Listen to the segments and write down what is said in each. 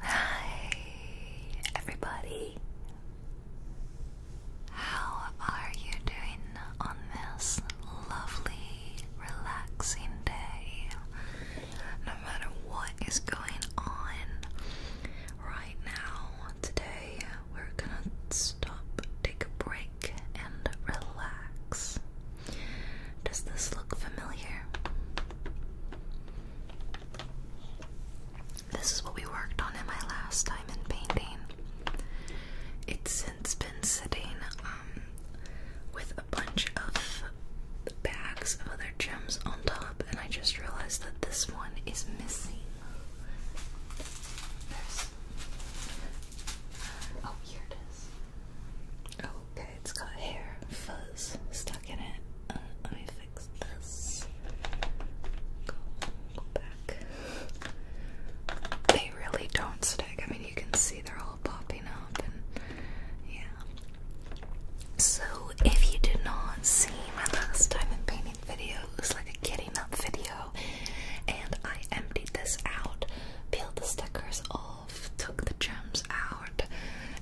Hi, everybody. How are you doing on this lovely, relaxing day? No matter what is going on right now, today we're gonna stop, take a break, and relax. Does this look familiar? This is what we worked on in my last diamond painting. It's since been sitting um, with a bunch of bags of other gems on top, and I just realized that this one is missing. Uh, oh, here it is. Okay, it's got hair fuzz stuck in it. Uh, let me fix this. Go, back. They really don't stick. I mean, you can see they're all popping up, and yeah. So, if you did not see my last time painting video, it was like a kitty nut video, and I emptied this out, peeled the stickers all took the gems out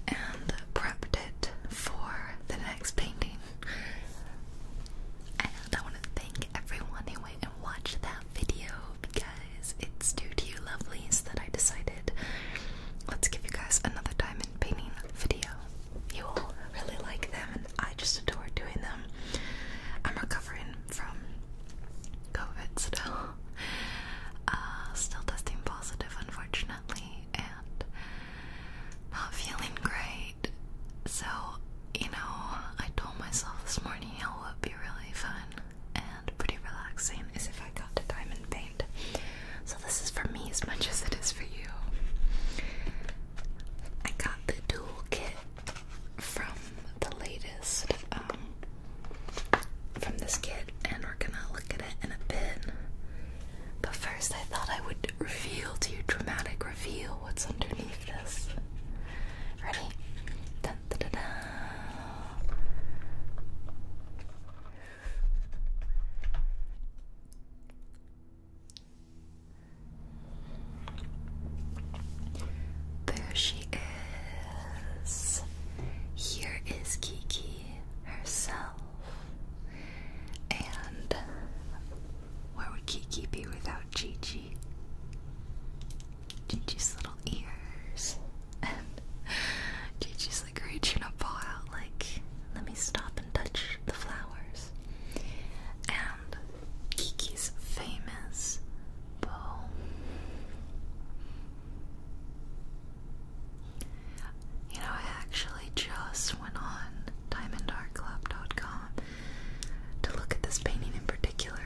and prepped it for the next painting. And I want to thank everyone who went and watched that video because it's due to you lovelies that I decided let's give you guys another diamond painting video. You all really like them and I just adore doing them. I'm recovering from COVID still. Uh, still testing positive, unfortunately, and not feeling great. So, you know, I told myself this morning it would be really fun and pretty relaxing is if I got to diamond paint. So, this is for me as much as it is for you. I got the dual kit from the latest um, from this kit, and we're gonna look at it in a bit. But first, I thought I would reveal to you, dramatic reveal, what's underneath this. Ready? There she is. Here is Kiki herself. And where would Kiki be without Gigi? Gigi's little ears. And Gigi's like reaching up, paw out, like, let me stop and touch the flowers. And Kiki's famous you know, I actually just went on diamondartclub.com to look at this painting in particular.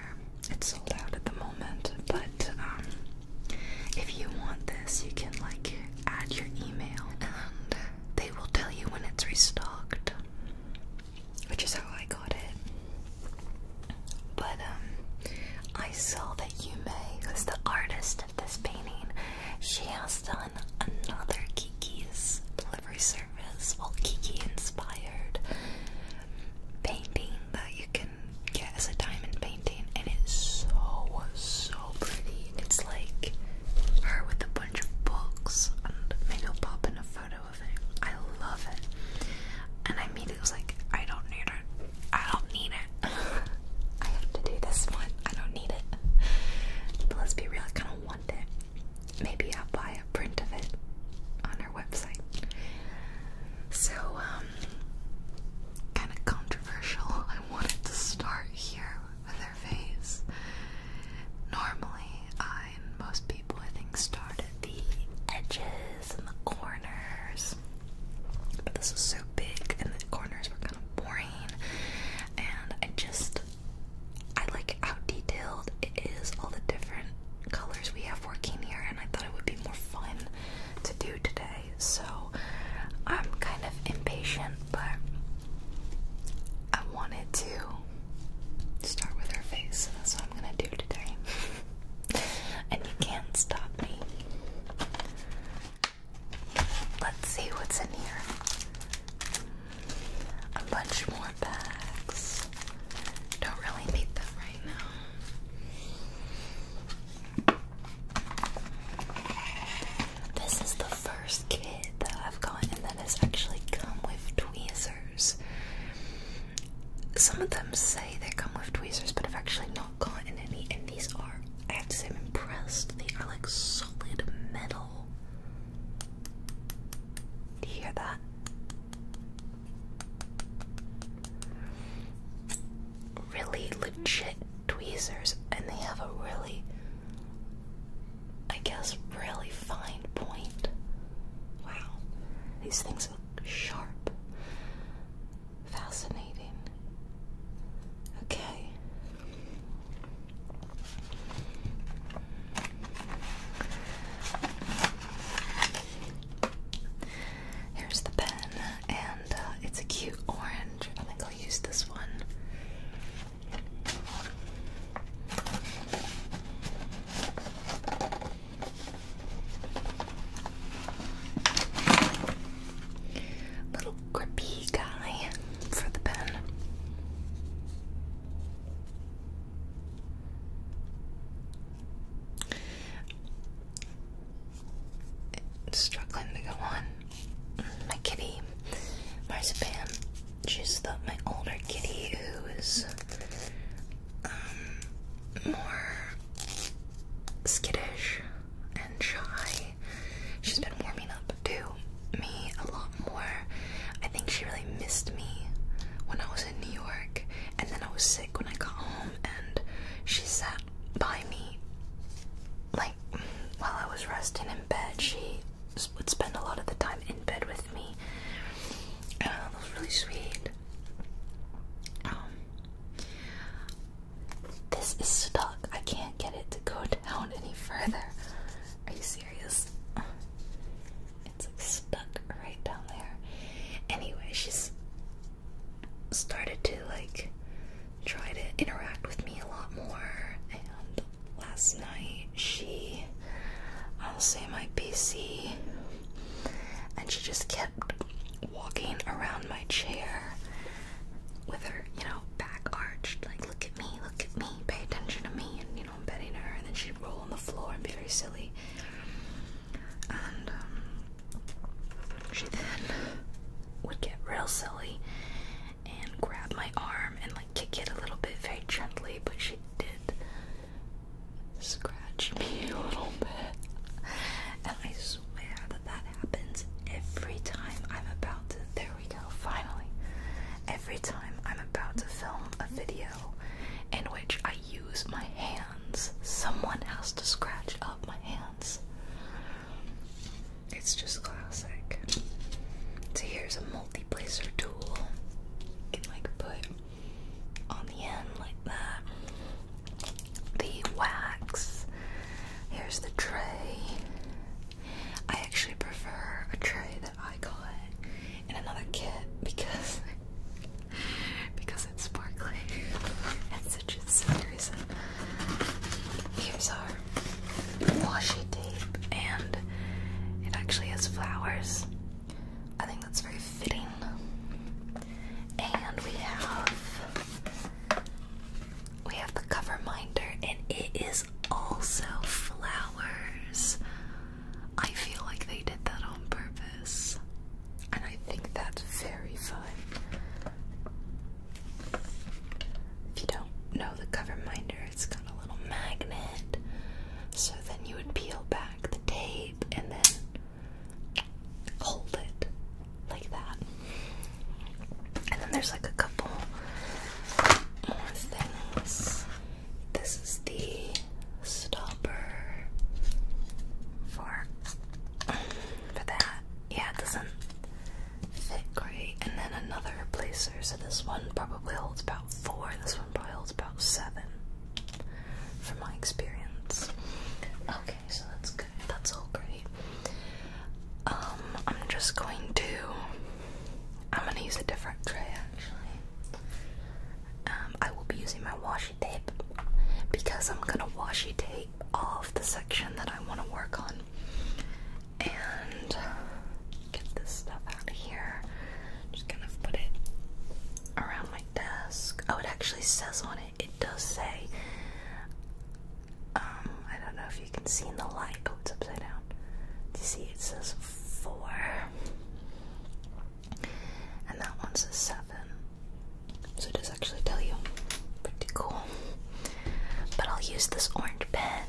It's sold out at the moment, but um, if you want this, you can like add your email and they will tell you when it's restocked, which is how I got it. But um, I saw that Yume, who's the artist of this painting, she has done another Kiki's delivery service, well, Kiki inspired painting that you can get as a diamond painting, and it's so so pretty. It's like her with a bunch of books, and maybe I'll pop in a photo of it. I love it, and I immediately was like, I don't need it. I don't need it. I have to do this one. I don't need it. But let's be real, I kind of want it. Maybe I'll buy a print of it on our website. So, um, kind of controversial. I wanted to start here with their face. Normally, I and most people, I think, start at the edges edges the corners. But this is so big, and the corners were kind of boring. And I just, I like how detailed it is, all the different colors we have working here, and I thought it would be more fun to do today. So I'm kind of impatient, but I wanted to start with her face, so that's what I'm gonna do today. and you can't stop me. Let's see what's in here. A bunch more bags. Don't really need them right now. This is the first kit that I've gotten that has actually come with tweezers. Some of them say they come with tweezers, but I've actually not gotten any, and these are, I have to say, I'm impressed. They are like solid metal. Do you hear that? Really legit tweezers, and they have a really, I guess, really fine point. Wow, these things look sharp. Fascinating. Okay. Here's the pen, and uh, it's a cute orange. I think I'll use this one. Little grippy guy for the pen. struggling to go on. My kitty, Marzipan. She's the my older kitty who is um, more skittish and shy. She's been warming up to me a lot more. I think she really missed me when I was in New York, and then I was sick when I got home, and she sat by me. Like, while I was resting in bed, she would spend a lot of the time in bed with me. And uh, that was really sweet. Um, this is stuck. I can't get it to go down any further. Are you serious? It's like stuck right down there. Anyway, she started to like try to interact with me a lot more. And last night she, I'll say my PC, and she just kept walking around my chair with her, you know, back arched, like, look at me, look at me, pay attention to me, and, you know, I'm petting her, and then she'd roll on the floor and be very silly. And, um, she then would get real silly and grab my arm and, like, kick it a little bit very gently, but she did scratch me a little bit. And I that happens every time I'm about to. There we go, finally. Every time I'm about to film a video in which I use my hands, someone has to scratch up my hands. It's just classic. So here's a multi-placer tool. You can like put on the end like that the wax. Here's the tray. I actually prefer a tray that I got in another kit because because it's sparkly and such a silly reason. Here's our washi tape and it actually has flowers. I think that's very fitting. And we have we have the cover and it is also flowers. I feel like they did that on purpose. And I think that's very fun. If you don't know the cover minder, it's got a little magnet. So then you would peel back the tape and then hold it like that. And then there's like a couple more things. This is the stopper for for that. Yeah, it doesn't fit great. And then another replacer. So this one probably holds about four. This one probably holds about seven, from my experience. Okay, Okay, so that's good. That's all great. Um, I'm just going to. I'm gonna use a different tray actually. Um, I will be using my washi tape because I'm gonna washi tape off the section that I want to work on. And get this stuff out of here. just gonna put it around my desk. Oh, it actually says on it it does say, um, I don't know if you can see in the light. Oh, it's upside down. you see it says four? And that one says seven. So it does actually tell you. Pretty cool. But I'll use this orange pen.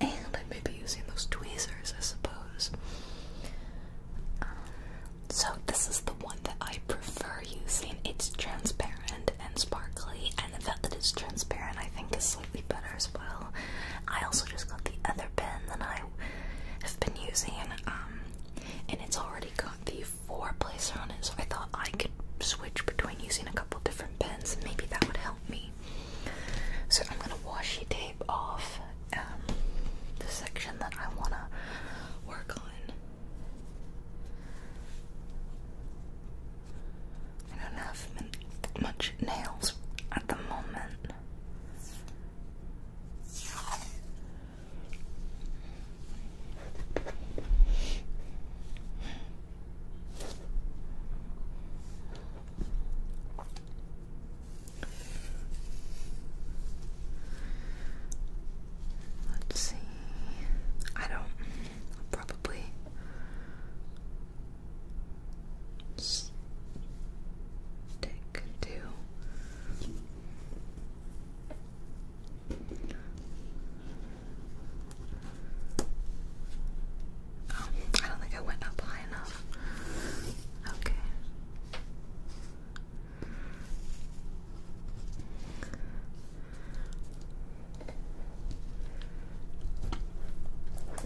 And I may be using those tweezers, I suppose. Um, so this is the one that I prefer using. It's transparent and sparkly, and the fact that it's transparent I think is slightly better as well. I also just got the other pen that I have been using, um, and it's already got the four placer on it, so I thought I could switch between using a couple different pens, and maybe that would help me. So I'm gonna washi tape off um, the section that I wanna work on. I don't have much nails at the moment. Let's see. I don't. i probably stick to. Oh, I don't think I went up high enough. Okay. I'm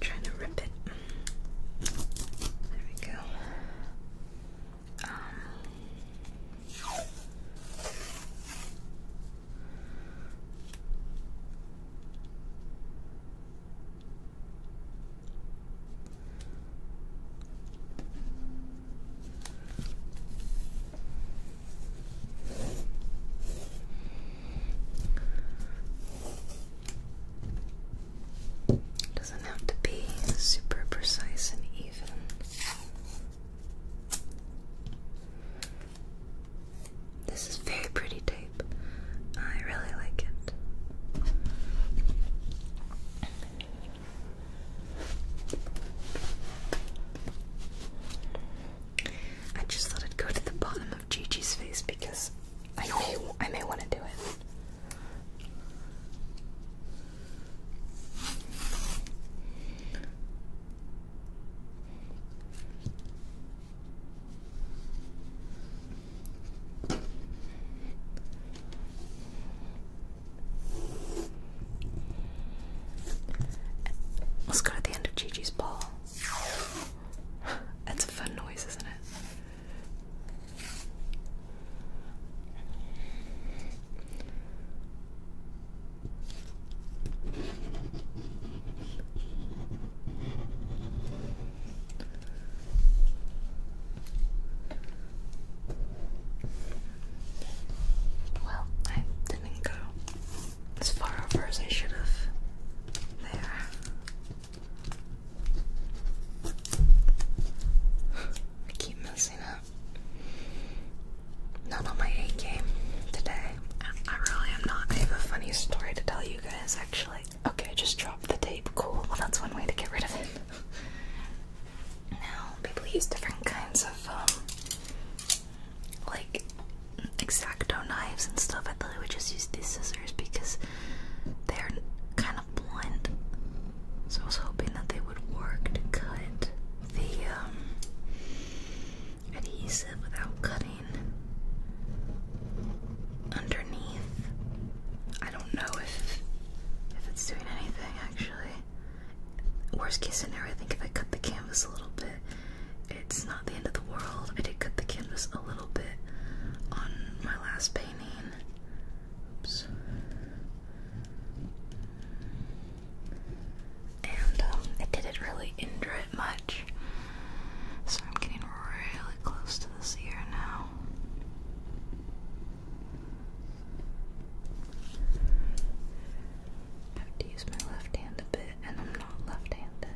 trying to rip it. There we go. Um, doesn't have to be super precise and even. This is very pretty tape. I really like it. I just thought I'd go to the bottom of Gigi's face because I may I may want to do it. Let's go to the end of Gigi's ball. That's a fun noise, isn't it? Well, I didn't go as far over as I should have. There. I keep messing up. Not on my A game today. I really am not. I have a funny story to tell you guys actually. Okay, just dropped the tape. Cool. Well, that's one way to get rid of it. Now people use different kinds of um, like exacto knives and stuff. I thought I would just use these scissors because they're kind of blunt. So I was hoping that they would work to cut the um, adhesive without cutting underneath. I don't know if if it's doing anything actually. Worst case scenario, I think if I cut the canvas a little bit, it's not the end of the world. I did cut the canvas a little bit on my last painting. Oops. And um, it didn't really injure it much. So I'm getting really close to this ear now. I have to use my left hand a bit, and I'm not left handed.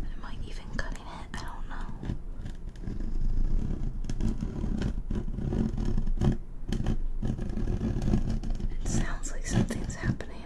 Am I even cutting it? I don't know. It sounds like something's happening.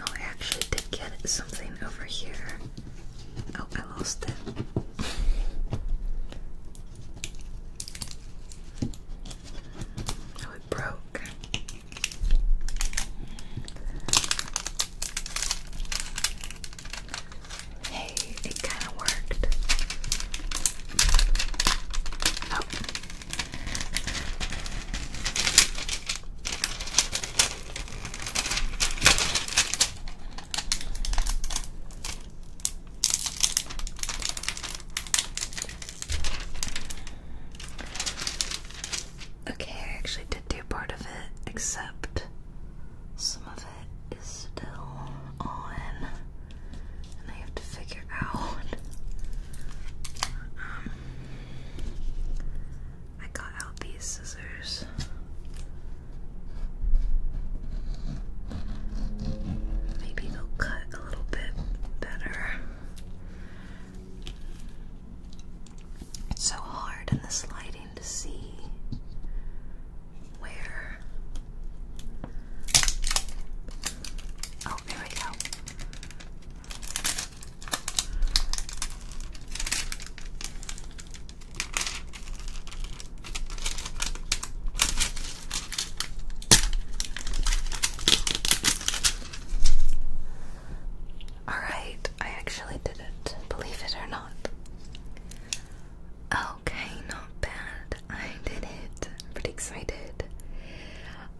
Oh, I actually did get something over here. Oh, I lost it. Oh, it broke. Hey, it kind of worked. Oh. Okay, I actually did do part of it, except some of it is still on, and I have to figure out um, I got out these scissors. Maybe they'll cut a little bit better. It's so hard in this lighting to see where. Oh, there we go. All right, I actually did it, believe it or not. Okay, not bad. I did it. pretty excited.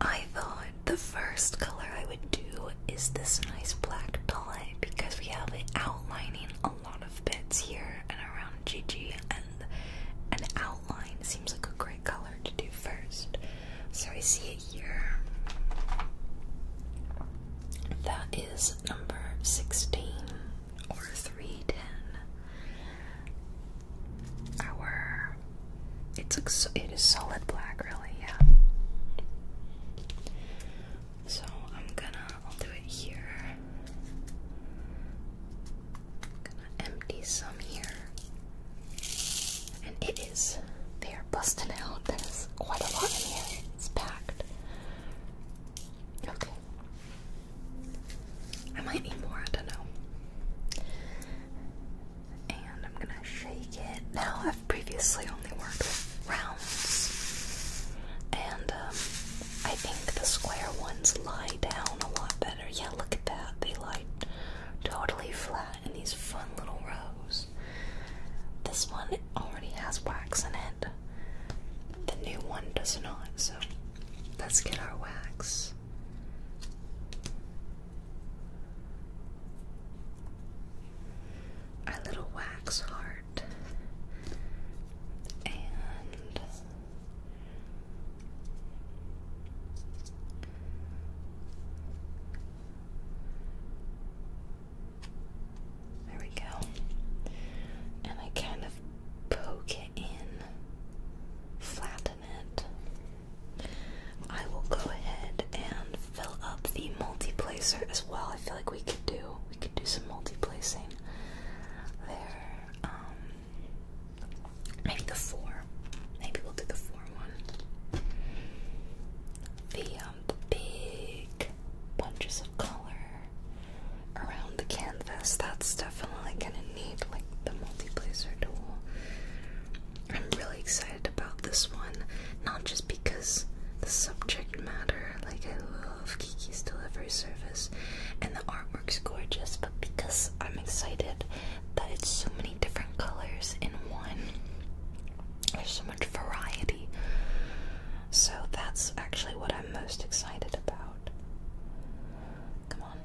I thought the first color I would do is this nice black dye because we have it outlining a lot of bits here and around Gigi, and an outline seems like a great color to do first. So we see it here. That is number 16 or 310. Our it's it is solid black, really, yeah. So I'm gonna, I'll do it here. gonna empty some here. And it is, they are busting out. There's quite a lot in here. It's packed. Okay. I might need more, I don't know. And I'm gonna shake now, I've previously only worked with rounds, and um, I think the square ones lie down a lot better. Yeah, look at that. They lie totally flat in these fun little rows. This one already has wax in it. The new one does not, so let's get our wax. Our little wax heart. And there we go. And I kind of poke it in, flatten it. I will go ahead and fill up the multi-placer as well. I feel like we could do we could do some multi-placing there. Um, maybe the four. Maybe we'll do the four one. The um the big bunches of color around the canvas. That's definitely gonna need like the multi-placer tool. I'm really excited about this one. Not just because the subject matter, like I love Kiki's delivery service and the artwork's gorgeous, but because I'm excited that it's so many different colors in one, there's so much variety. So that's actually what I'm most excited about. Come on.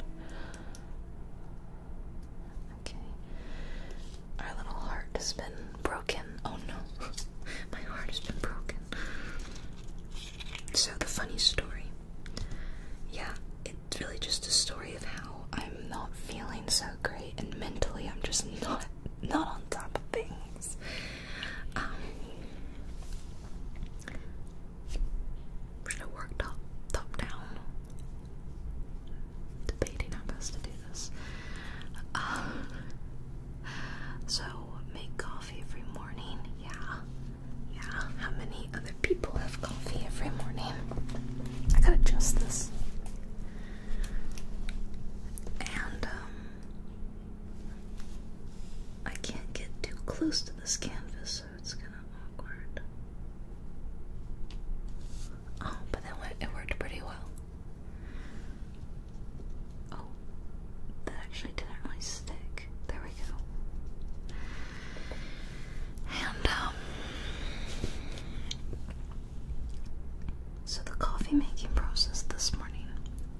Okay. Our little heart has been broken. Oh no, my heart has been broken. So, the funny story. Yeah, it's really just a story of how I'm not feeling so great and mentally I'm just not not on top of things. should um, I work top top down? Debating how best to do this. Uh, so make coffee every morning. Yeah. Yeah. How many other people have coffee every morning? I gotta adjust this. And um I can't get too close to this canvas, so it's kind of awkward. Oh, but that it worked pretty well. Oh, that actually didn't really stick. There we go. And, um, so the coffee making process this morning,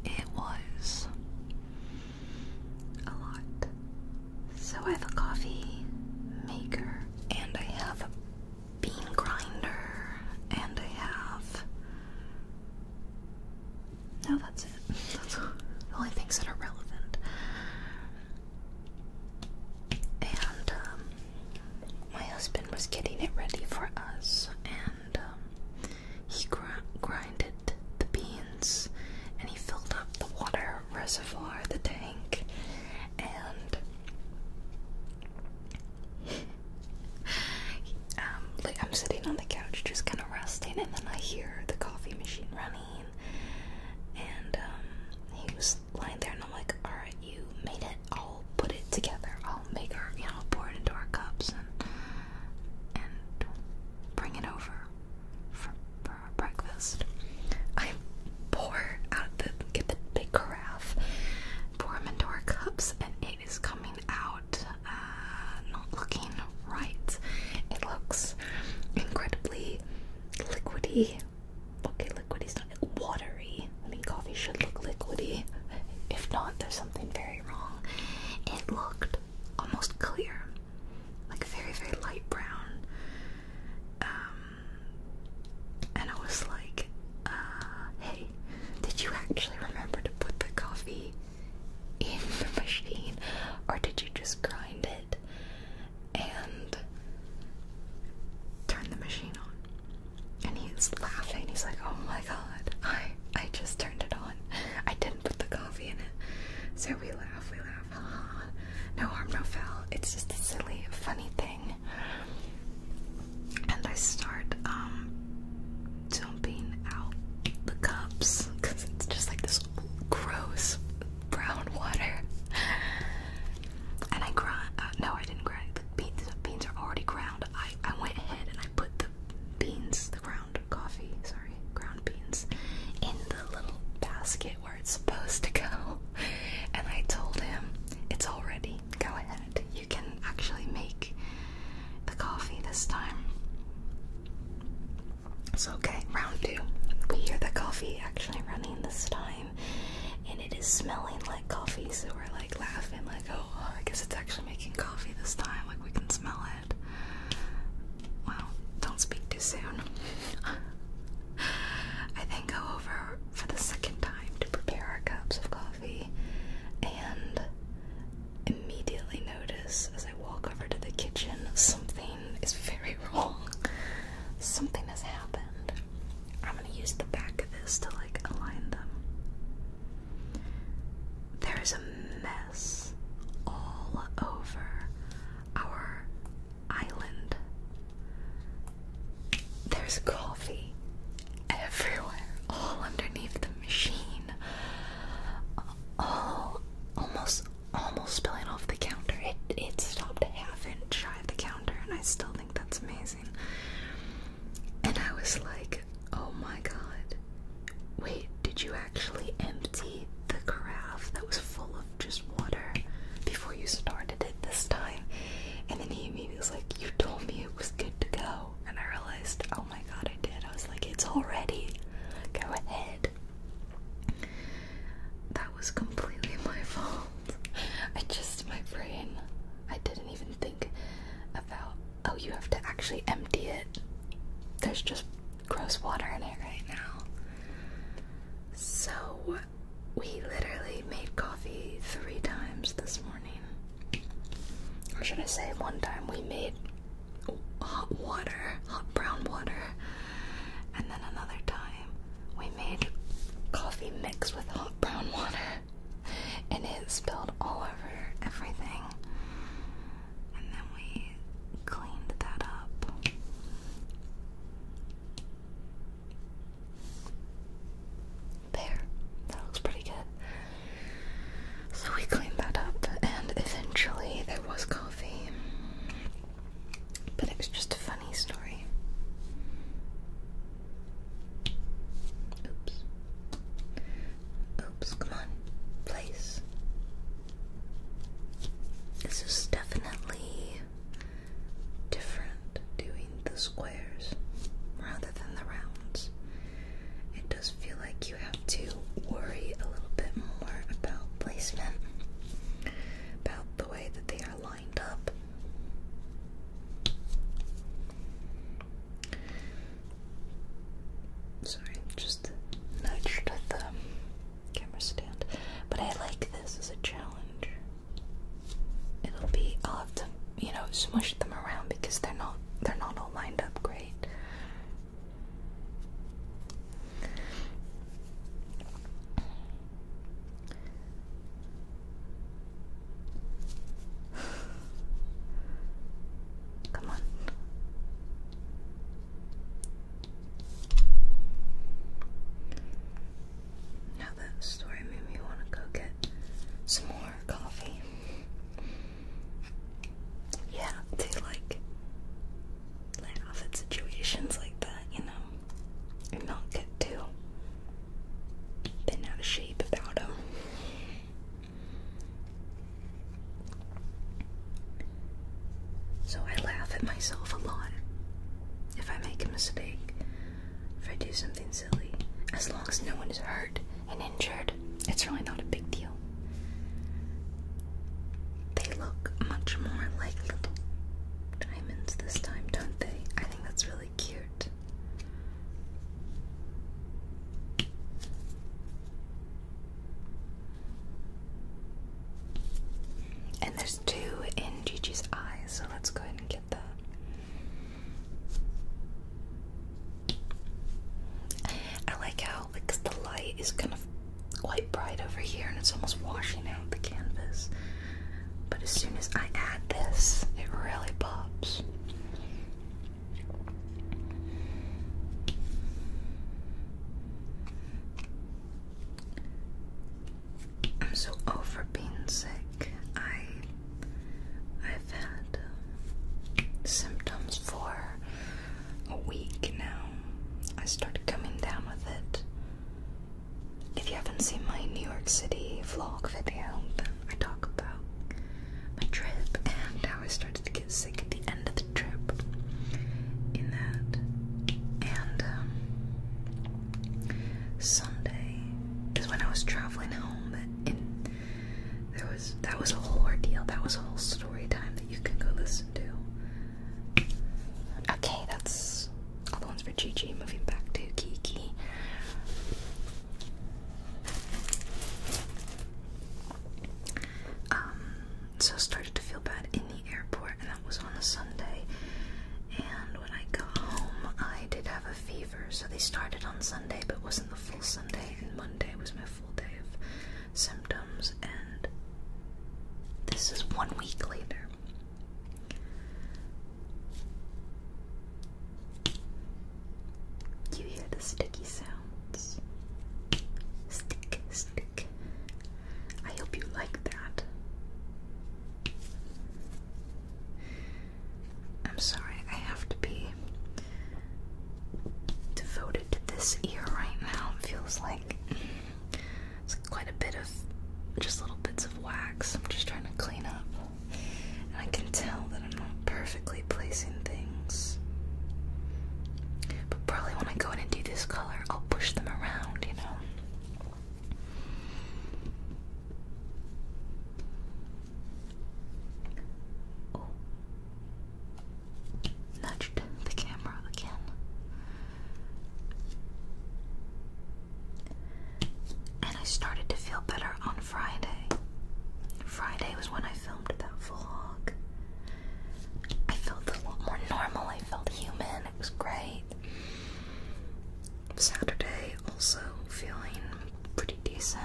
it was a lot. So I have a coffee maker and I have bean grinder, and I have. No, that's it. That's the only things that are relevant. And um, my husband was getting it ready for us, and um, he grinded the beans, and he filled up the water reservoir, the tank, and Um, like I'm sitting on the couch just kind of resting, and then I hear the coffee machine running, and um, he was lying there, and I'm like, all right, you made it. I'll put it together. I'll make our, you know, pour it into our cups and bring it over for, our breakfast. I pour out the get the big carafe, pour them into our cups, and it is coming out uh, not looking right. It looks incredibly liquidy. Okay, liquidy's not watery. I mean, coffee should look liquidy. If not, there's something very wrong. It looked almost clear, like very, very light brown. Um, and I was like, uh, hey, did you actually remember to put the coffee in the machine, or did you just grind it and turn the machine on? And he's laughing. He's like, "Oh my god, I I just turned it on. I didn't put the coffee in it." So we laugh, we laugh. no harm, no foul. It's just a silly, funny thing and I start um, dumping out the cups because it's just like this gross brown water. And I grind. Uh, no, I didn't grind. The beans, the beans are already ground. I I went ahead and I put the beans, the ground coffee, sorry, ground beans, in the little basket where it's supposed to go. And I told him it's already Go ahead. You can actually make the coffee this time. So, okay, round two. We hear the coffee actually running this time, and it is smelling like coffee, so we're like laughing, like, oh, oh I guess it's actually making coffee this time. Like, we can smell it. Well, don't speak too soon. I then go over for the second time to prepare our cups of coffee and immediately notice as I walk over to the kitchen something is very wrong. Something has happened. I'm going to use the back of this to like align them. There is a mess all over our island. There's coffee everywhere, all underneath the machine, all almost almost spilling off the counter. It it stopped half inch shy of the counter, and I still think that's amazing. And I was like, oh my god, wait, did you actually empty the carafe that was full of just water before you started it this time? And then he immediately was like, you told me it was good to go and I realized, oh my god, I did. I was like, it's already. Go ahead. That was completely my fault. I just, my brain, I didn't even think about, oh, you have to actually empty it. There's just gross water in it right now. So, we literally made coffee three times this morning or should I say, one time we made hot water, hot brown water, and then another time we made coffee mixed with hot brown water, and it spilled all over everything. And then we cleaned that up. There, that looks pretty good. So we cleaned that up, and eventually there was coffee. But it was just a funny story. Oops. Oops, come on. Place. This is definitely different doing the squares rather than the rounds it does feel like you have to worry a little bit more about placement, about the way that they are lined up. Sorry, just nudged the camera stand. But I like this as a challenge. It'll be, I'll have to you know, smush them around because they're not they're not all lined up great. Come on. Now that story made me want to go get some more coffee yeah, to like laugh at situations like that, you know, and not get too bent out of shape about them. So I laugh at myself a lot if I make a mistake, if I do something as long as no one is hurt and injured, it's really not a big deal. They look much more like little diamonds this time, don't they? I think that's really cute. And there's two in Gigi's eyes, so let's go ahead and get that. I like how like the light is kind of quite bright over here and it's almost washing out the canvas. But as soon as I add this, it really pops. I'm so over being sick. I I've had um, symptoms for a week now. I started coming down with it. If you haven't seen my New York City vlog video, I talk about my trip and how I started to get sick at the end of the trip. In that, and um, Sunday is when I was traveling home in there was that was a whole ordeal. That was a whole story time that you can go listen to. Okay, that's all the ones for Gigi. Moving back to Kiki. Um, so I started to feel bad in the airport, and that was on a Sunday. And when I got home, I did have a fever. So they started on Sunday, but wasn't the full Sunday, Monday was my full day of symptoms, and this is one week later. You hear the sticky sounds. Stick, stick. I hope you like that. I'm sorry, I have to be devoted to this ear right now. It feels like it's quite a bit of just little bits of wax. I'm just trying to clean up. And I can tell that I'm not perfectly placing things. But probably when I go in and do this color, I'll push them around, you know? Oh. Nudged the camera again. And I started to feel better on Friday. Friday was when I filmed that vlog. I felt a lot more normal, I felt human, it was great. Saturday also feeling pretty pretty decent.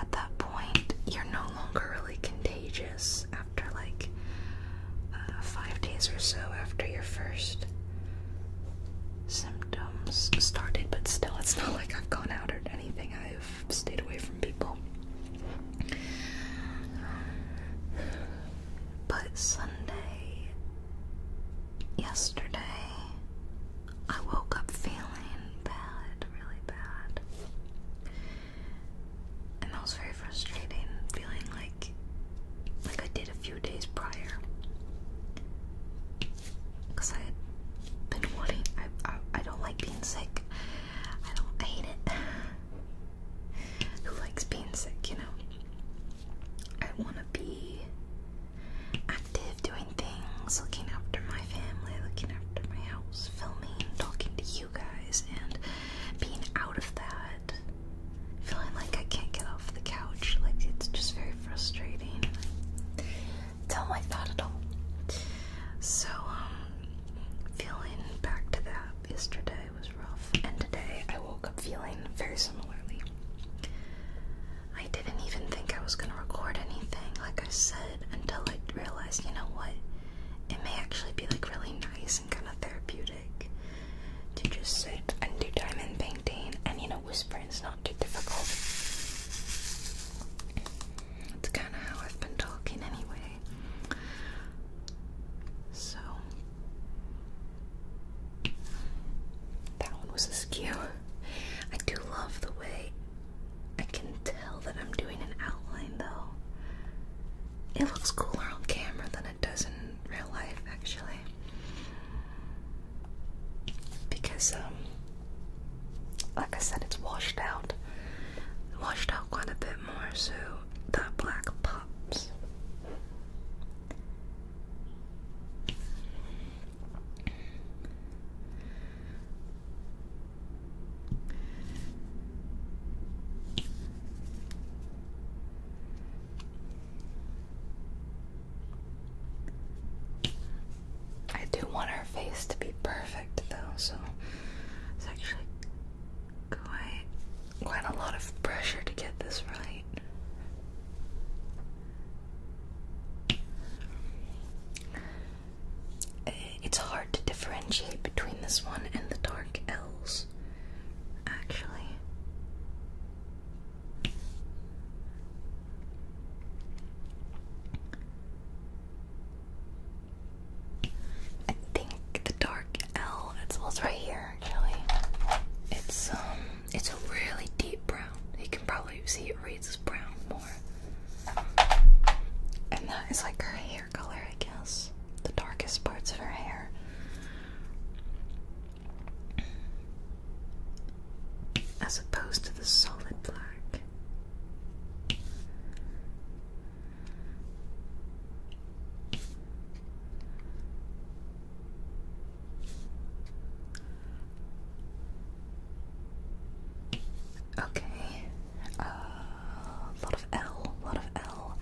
At that point, you're no longer really contagious after like uh, five days or so after your first symptoms started, but still, it's not like I've gone out or anything, I've stayed away from people. But Sunday, yesterday, I woke up feeling bad, really bad. And that was very frustrating, feeling like like I did a few days prior. Cause I had been wanting I, I don't like being sick. I don't hate it. Who likes being sick, you know? I wanna be active, doing things, looking after my family, looking after my house, filming, talking to you guys, and being out of that, feeling like I can't get off the couch. Like it's just very frustrating. Don't like that at all. So, um, feeling back to that yesterday was rough, and today I woke up feeling very similarly. I didn't even think I was gonna record anything, like I said, until I realized, you know what? It may actually be like really nice and kind of therapeutic to just sit and do diamond painting, and you know, whispering is not too difficult. It's kind of how I've been talking anyway. So, that one was askew. I do love the way I can tell that I'm doing an outline though. It looks cooler on camera than it does in real life, actually. Because, um, like I said, it's washed out. Washed out quite a bit more, so that black pops. I do want her face to be perfect though, so it's actually quite quite a lot of pressure to get this right. Uh, it's hard to differentiate between this one and the dark L's, actually. I think the dark L, it's, well, it's right here actually. It's um, it's a really deep brown. You can probably see it reads as brown more. And that is like her hair color, I guess. The darkest parts of her hair. As opposed to the solid black. Okay. A uh, lot of L, a lot of L.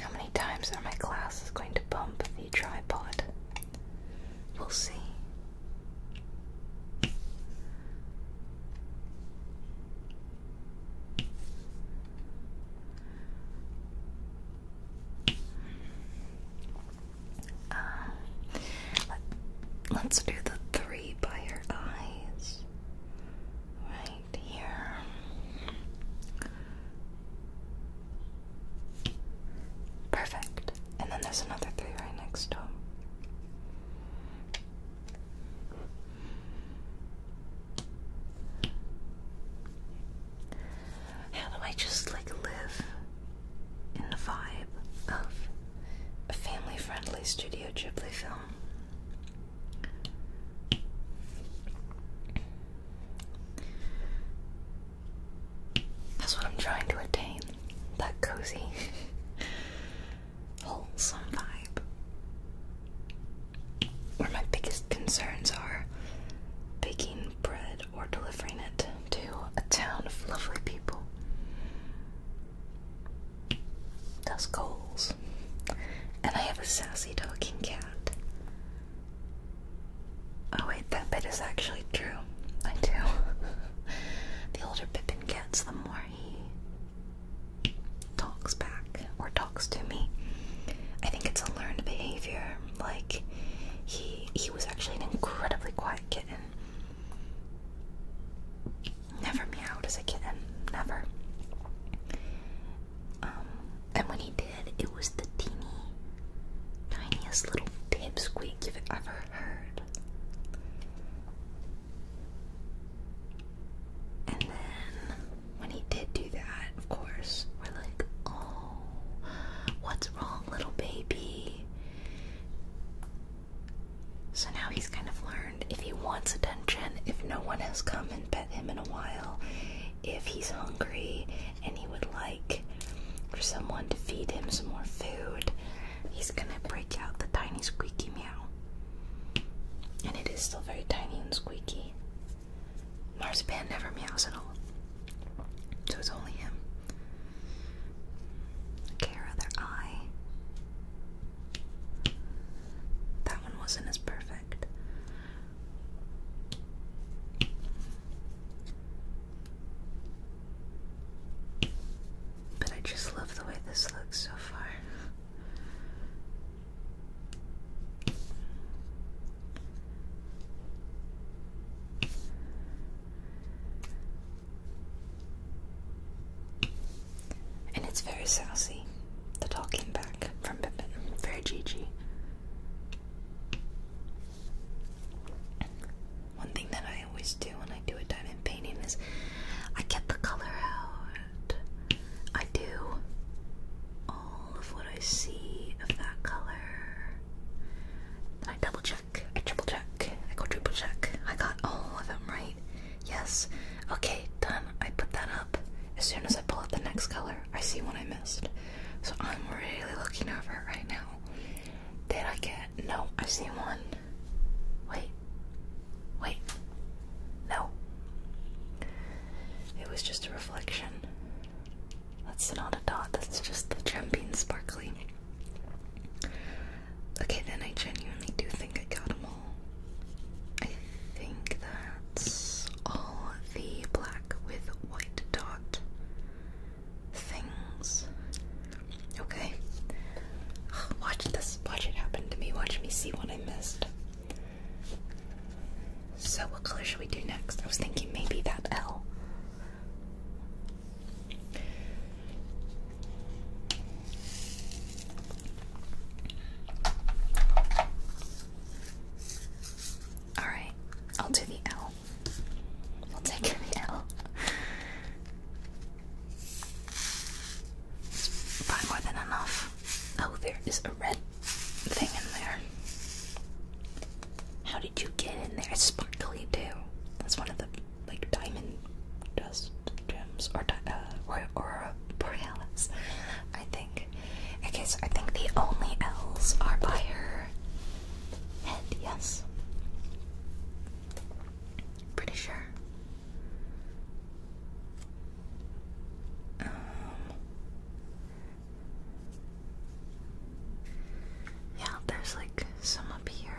How many times are my glasses going to bump the tripod? We'll see. Uh, let, us do the three by your eyes right here. Perfect. And then there's another three right next to them. How do I just like live in the vibe of a family friendly Studio Ghibli film? That's what I'm trying to attain that cozy, wholesome vibe. Where my biggest concerns are baking bread or delivering it to a town of lovely people. Dust coals, And I have a sassy talking cat. Oh wait, that bit is actually true. I do. the older Pippin gets, the more he talks back or talks to me. I think it's a learned behavior. Like he he was actually an incredibly quiet kitten. Never meowed as a kitten, never. Um, and when he did, it was the teeny, tiniest little pip squeak you've ever heard. And then when he did do that, of course, we're like, oh, what's wrong, little baby? So now he's kind of learned if he wants attention, if no one has come and pet him in a while, if he's hungry and he would like for someone to feed him some more food, he's gonna break out the tiny squeaky meow. And it is still very tiny and squeaky. Marzipan never meows at all. So it's only him. Okay, her other eye. That one wasn't as perfect. But I just love the way this looks so far. And it's very sassy, the talking back from Pippin. Very Gigi. One thing that I always do when I do a diamond painting is I get the color out. I do all of what I see of that color. I double check, I triple check, I go triple check. I got all of them right. Yes. Okay, done. I put that up. As soon as I pull out the next color, I see one I missed. So I'm really looking over it right now. Did I get? No, I see one. Wait. Wait. No. It was just a reflection. That's not a dot, that's just the gem being sparkly. Okay, then I genuinely do think I got them all. I think that's all the black with white dot things. Okay. Watch this. Watch it happen to me. Watch me see what I missed. So, what color should we do next? I was thinking maybe that L. Alright, I'll do the L. We'll take the L. It's more than enough. Oh, there is a red thing in there. How did you get in there? It's sparkly too. That's one of the like diamond dust gems or di uh, or borealis, I think. Okay, so I think the only L's are by her head. Yes. Pretty sure. Um, yeah, there's like some up here.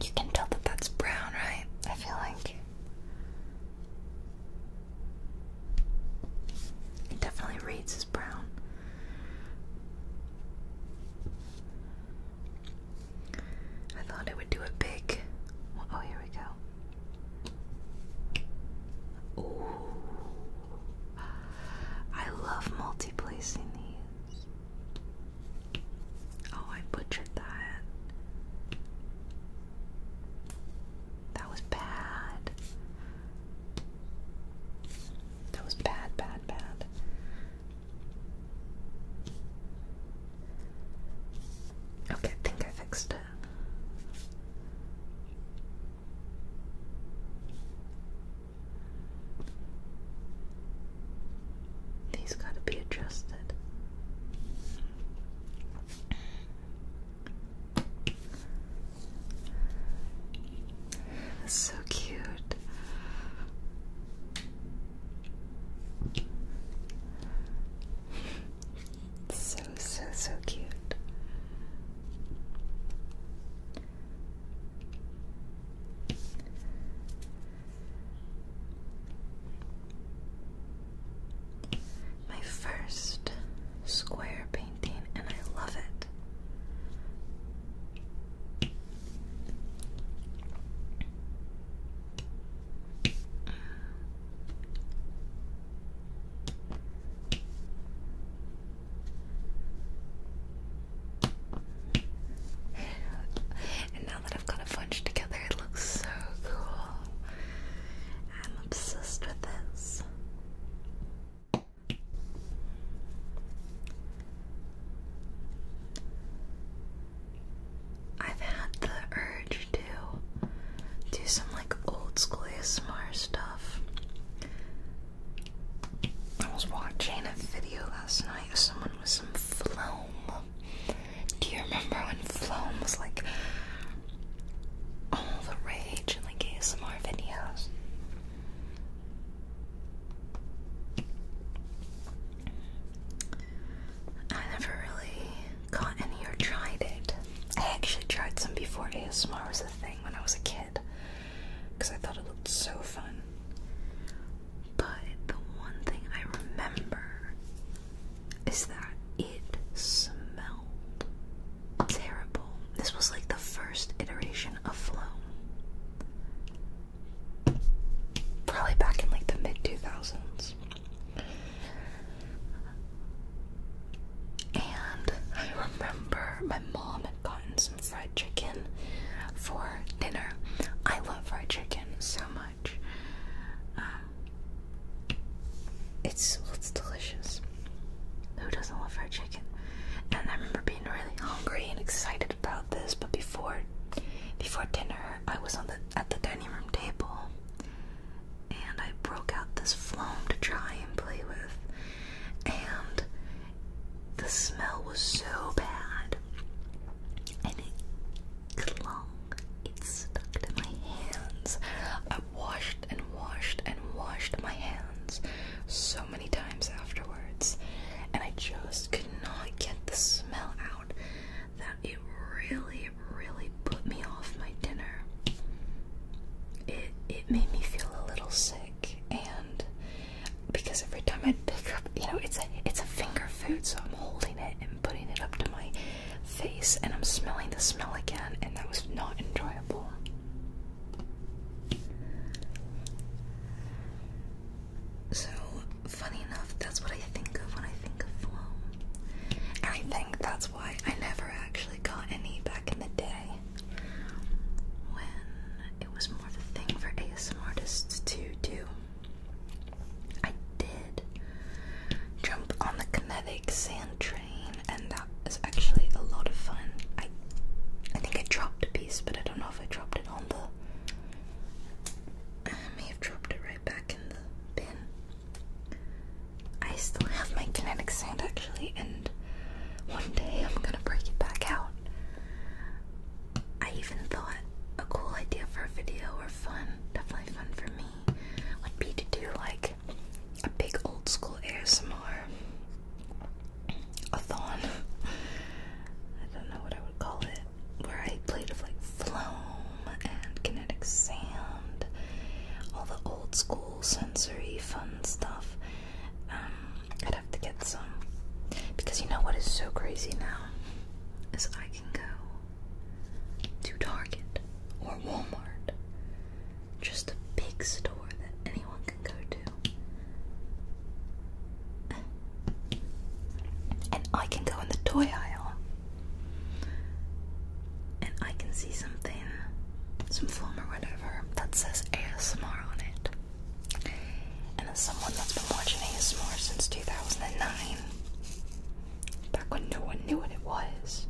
You can tell that that's brown, right? I feel like it definitely reads as brown. I thought I would do a big. Oh, here we go. Ooh. I love multi these. Oh, I butchered that. That was bad. That was bad, bad, bad. Okay, I think I fixed it. These gotta be adjusted. That's so cute. So, so, so cute. My first square painting, and I love it. and now that I've got it bunched together, it looks so cool. I'm obsessed with this. I've had the urge to do some like old school ASMR stuff. I was watching a video last night someone with some phloem do you remember when Floam was like all the rage in like ASMR videos? I never really got any or tried it. I actually tried some before ASMR was a thing when I was a kid because I thought it looked so fun. But the one thing I remember is that it smelled terrible. This was like the first iteration of Floam. Probably back in like the mid 2000s. And I remember my mom had gotten some fried chicken for dinner. I love fried chicken so much. Um, it's it's delicious. Who doesn't love fried chicken? And I remember being really hungry and excited about this, but before before dinner, I was on the at the dining room table, and I broke out this phloem to try and play with, and the smell was so bad, clung. It's stuck to my hands. I washed and washed and washed my hands so many times afterwards, and I just could not get the smell out that it really, really put me off my dinner. It it made me feel a little sick and because every time I pick up you know it's a it's a finger food so I'm holding it putting it up to my face, and I'm smelling the smell again, and that was not enjoyable. So, funny enough, that's what I think of when I think of flow. And I think that's why I never actually got any back in the day when it was more of thing for ASMR artists to do. I did jump on the kinetic sand train, and that is actually a lot of fun. I, I think I dropped a piece, but I don't know if I dropped it on the. I may have dropped it right back in the bin. I still have my kinetic sand actually, and one day I'm gonna break it back out. I even thought a cool idea for a video or fun, definitely fun for me, would be to do like a big old school ASMR a thon. I don't know what I would call it. Where I played with like Floam and Kinetic Sand, all the old school sensory fun stuff. Um, I'd have to get some. Because you know what is so crazy now? Is I can go to Target or Walmart. Just a big store that anyone can go to. And I can go in the toy aisle. And I can see something, some foam or whatever, that says ASMR on it. And as someone that's been watching ASMR since 2009, back when no one knew what it was.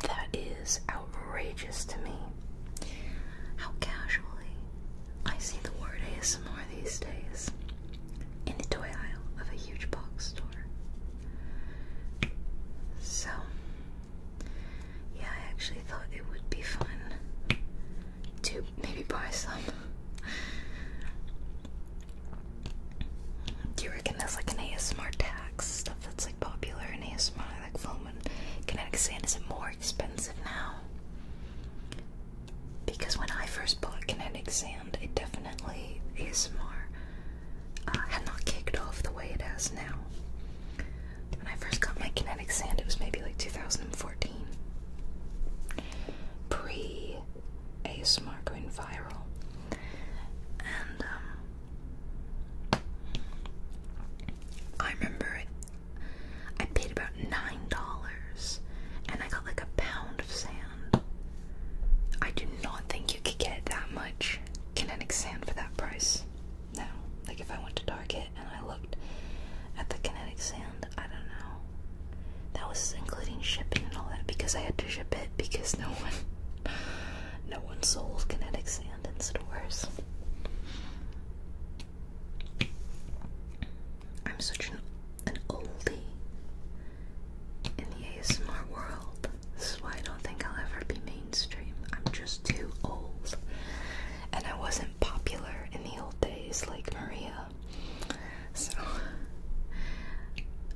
That is outrageous to me. How casually I see the word ASMR these days in the toy aisle of a huge box store. So, yeah, I actually thought it would be fun to maybe buy some. Do you reckon there's like an ASMR tax stuff that's like popular in ASMR, like foam and kinetic sand? Is it more expensive now? Because when I first bought kinetic sand, it definitely ASMR uh, had not kicked off the way it has now. When I first got my kinetic sand, it was maybe like 2014, pre a smart going viral. And um, I remember I paid about nine dollars and I got like a pound of sand. I do not think you could get that much kinetic sand for that price now. Like if I went to Target and I looked at the kinetic sand, I don't know. That was including shipping and all that because I had to ship it because no one no one sold kinetic sand in stores. I'm such an, an oldie in the ASMR world. This is why I don't think I'll ever be mainstream. I'm just too old. And I wasn't popular in the old days like Maria. So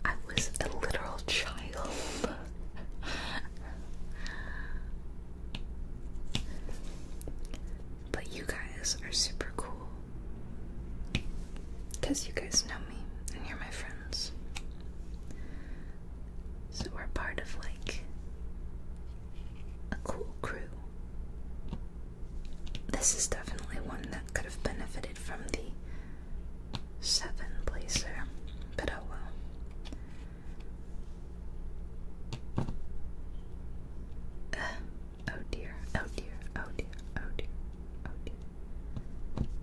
I was a literal child but you guys are super cool. Because you guys know me and you're my friends. So we're part of like a cool crew. This is definitely one that could have benefited from the seven blazer, but oh well. oh dear, oh dear, oh dear, oh dear, oh dear.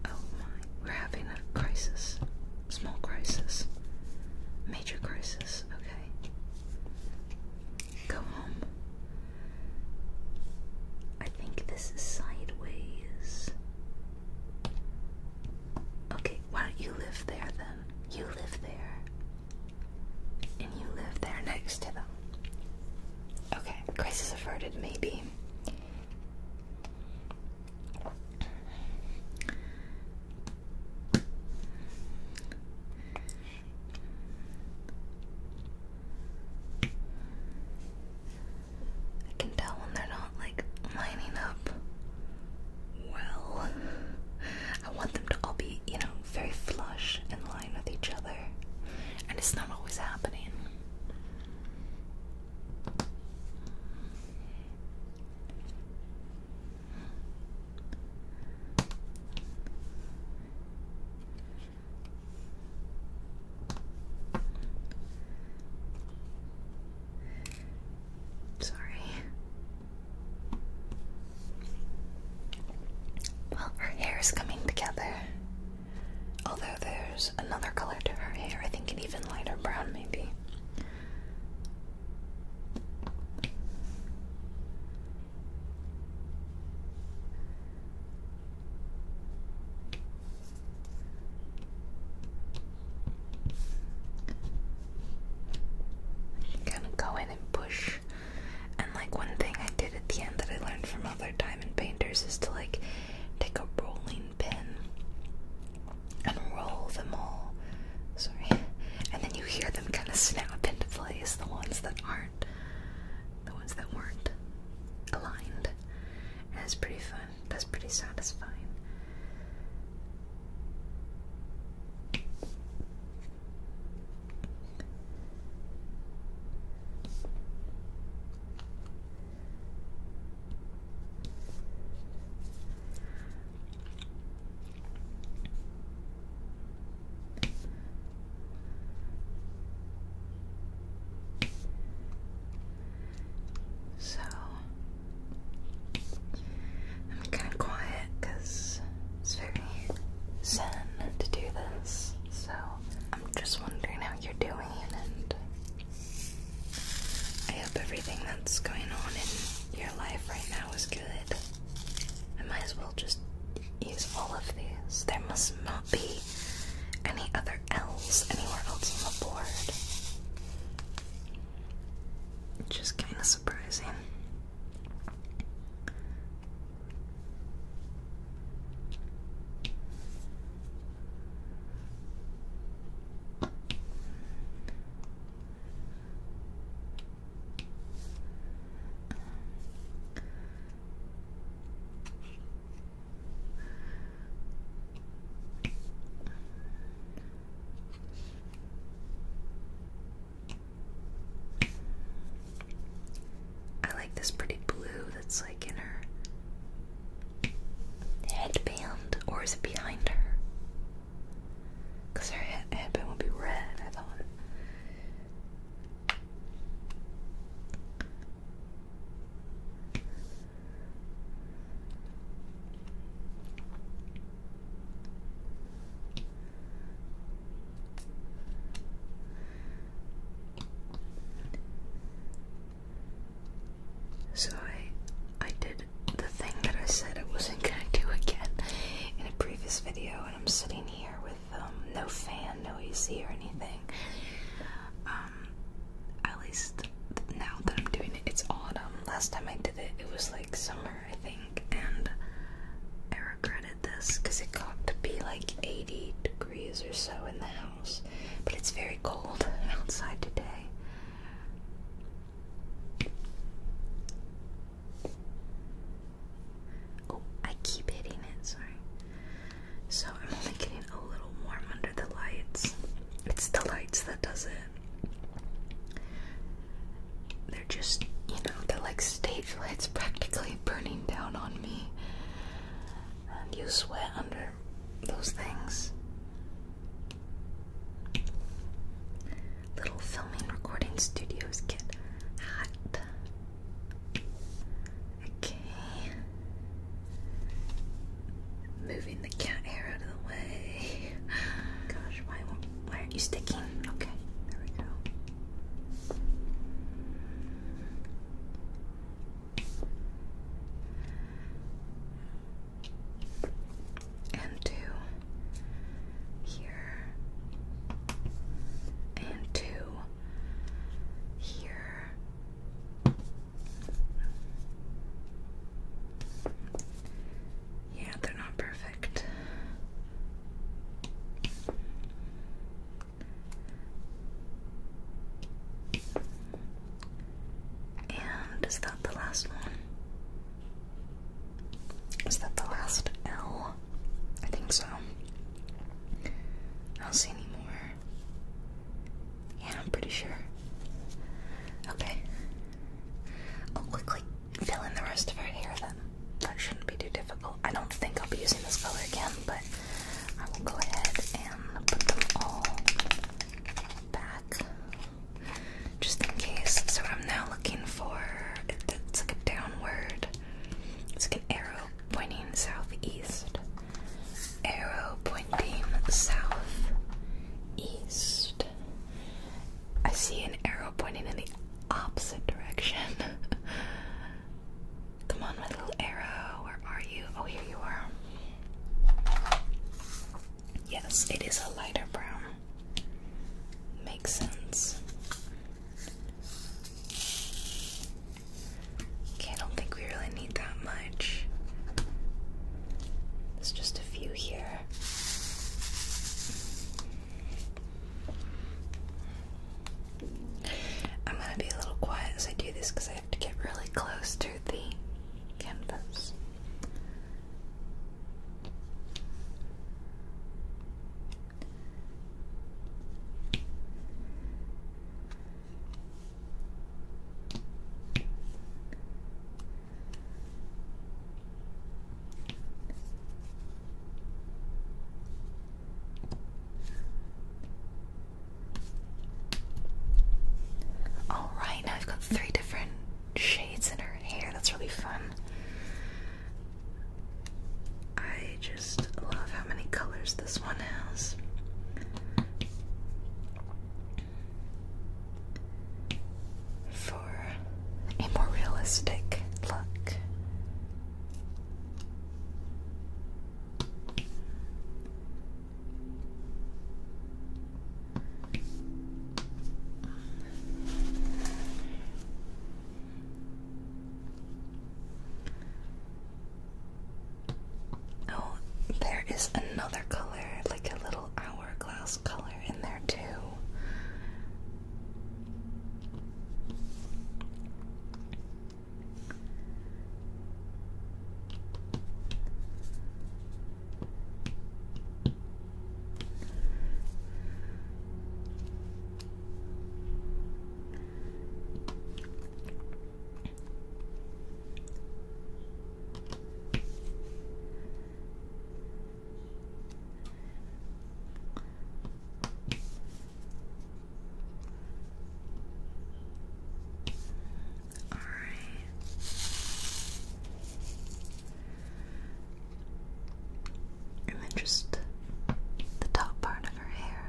Oh my, we're having a crisis. Small crisis. Major crisis, okay. Go home. I think this is sideways. Okay, why don't you live there then? You live there. And you live there next to them. Okay, crisis averted, maybe. I can tell when they're not like lining up well. I want them to all be, you know, very flush and line with each other. And it's not always happening. Sorry. Well, her hair is coming together. Although there's another color to her hair, I think an even lighter brown, maybe. I'm go in and push. And like one thing I did at the end that I learned from other diamond painters is to like take a rolling pin and roll them all. Sorry. And then you hear them kind of snap into place, the ones that aren't the ones that weren't aligned. And it's pretty fun. That's pretty satisfying. So I'm kind of quiet because it's very zen to do this. So I'm just wondering how you're doing, and I hope everything that's going on in your life right now is good. I might as well just use all of these. There must not be any other anywhere else, anywhere else on the board. Just kind of surprising. I like this pretty blue that's like in her headband, or is it behind her? Because her head headband would be red, I thought. So I I did the thing that I said I wasn't gonna do again in a previous video and I'm sitting here with um, no fan, no AC or anything. Um, um, at least now that I'm doing it, it's autumn. Last time I did it, it was like summer, I think, and I regretted this because it got to be like 80 degrees or so in the house, but it's very cold outside today. Oh, I keep hitting it, sorry. So I'm only getting a little warm under the lights. It's the lights that does it. They're just, you know, they're like stage lights practically burning down on me. And you sweat under those things. Little filming recording studios get hot. Okay. Moving the cat hair out of the way. Gosh, why won't, why aren't you sticking? Okay, there we go. And two here, and two here, yeah, they're not perfect. And is that the last one? Is that the last L? I think so. I see any yeah, I'm pretty sure. Okay. I'll quickly fill in the rest of our hair then. That shouldn't be too difficult. I don't think I'll be using this color again, but I will go ahead and put them all back just in case. So I'm now looking for it's like a downward, it's like an arrow pointing southeast arrow pointing south east. I see an arrow pointing in the opposite direction. Come on, my little arrow. Where are you? Oh, here you are. Yes, it is a lighter brown. Makes sense. Okay, I don't think we really that much. There's just a few here. I'm gonna be a little quiet as I do this because I have to get really close to the canvas. All right, now I've got three different shades in her hair. That's really fun. I just love how many colors this one has for a more realistic look. Oh, there is another color, like a little hourglass color in there too. All right. And then just the top part of her hair.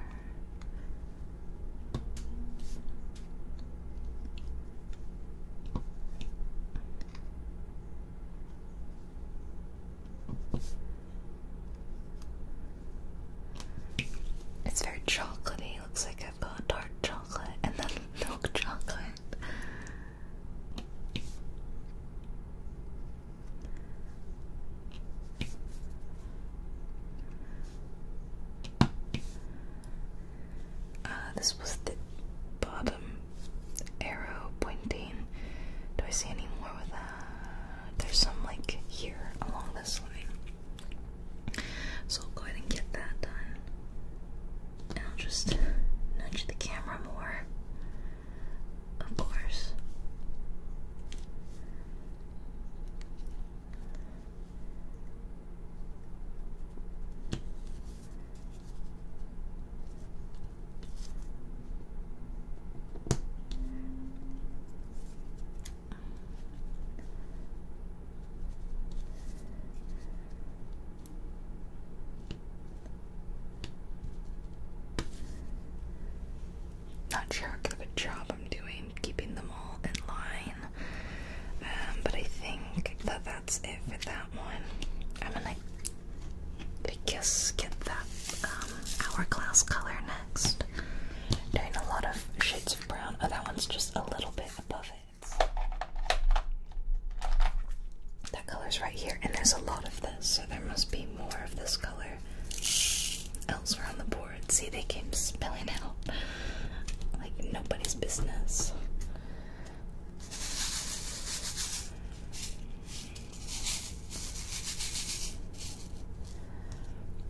It's very chocolatey. looks like I've got dark chocolate and then milk chocolate. Uh, this was the bottom arrow pointing. Do I see any more with that? There's some like here along this line. So I'll go ahead and get that done. And I'll just nudge the camera more. Of course. Not sure what kind of a job I'm doing keeping them all in line. Um, but I think that that's it for that one. I'm gonna, I guess, get that um, hourglass color next. Doing a lot of shades of brown. Oh, that one's just a little bit above it. That color's right here, and there's a lot of this, so there must be more of this color elsewhere on the board. See, they came spilling out like nobody's business.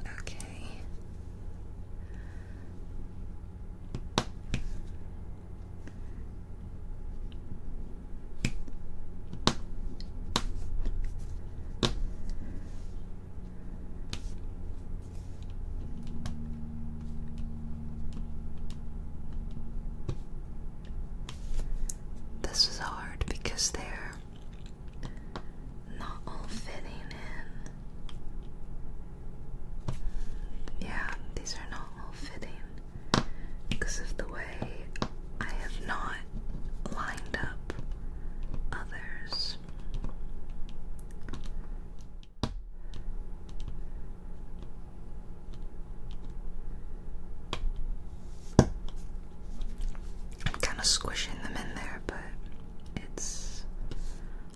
Okay. This is hard because they're not all fitting in. Yeah, these are not all fitting because of the way I have not lined up others. I'm kind of squishing them in there, but it's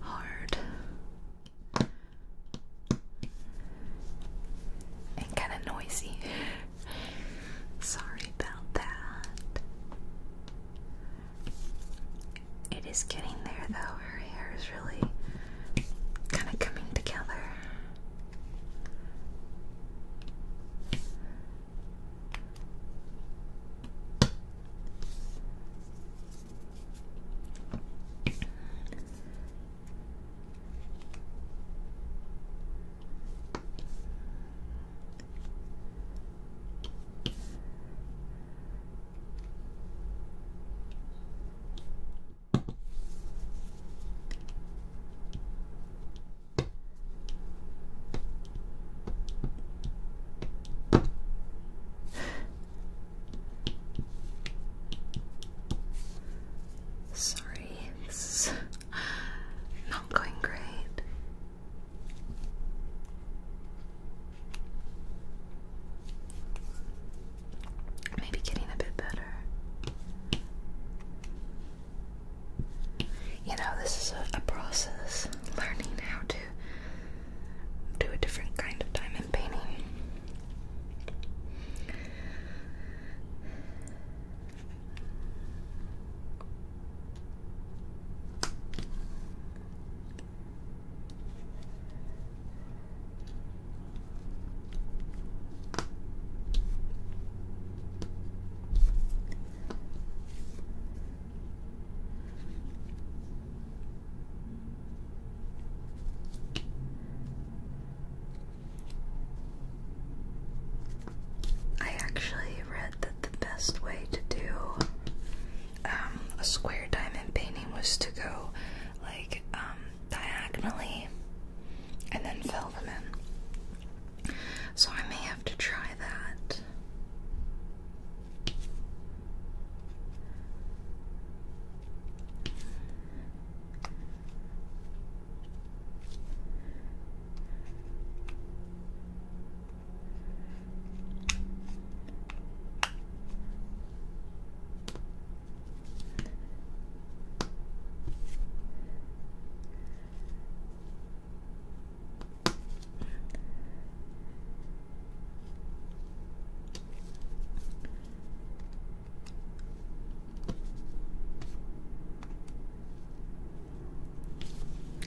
hard and kind of noisy. Sorry about that. It is getting there though. Her hair is really kind of coming together. Sorry, this not going great. Maybe getting a bit better. You know, this is a, a process learning how to do a different kind of diamond painting. I actually read that the best way to do um, a square diamond painting was to go like um, diagonally and then fill them in. So I may have to try that.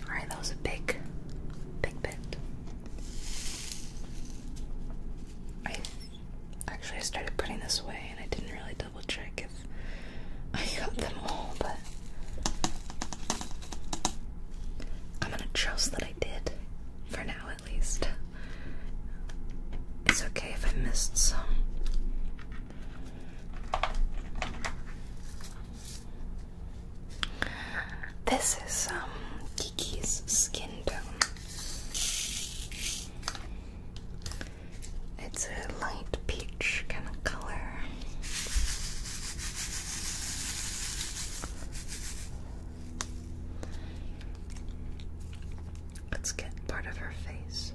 All right, that was a big, big bit. I actually I started putting this away and I didn't really double check if I got them all, but I'm gonna trust that I did, for now at least. It's okay if I missed some. This is um Kiki's skin tone. It's a light peach kind of color. Let's get part of her face.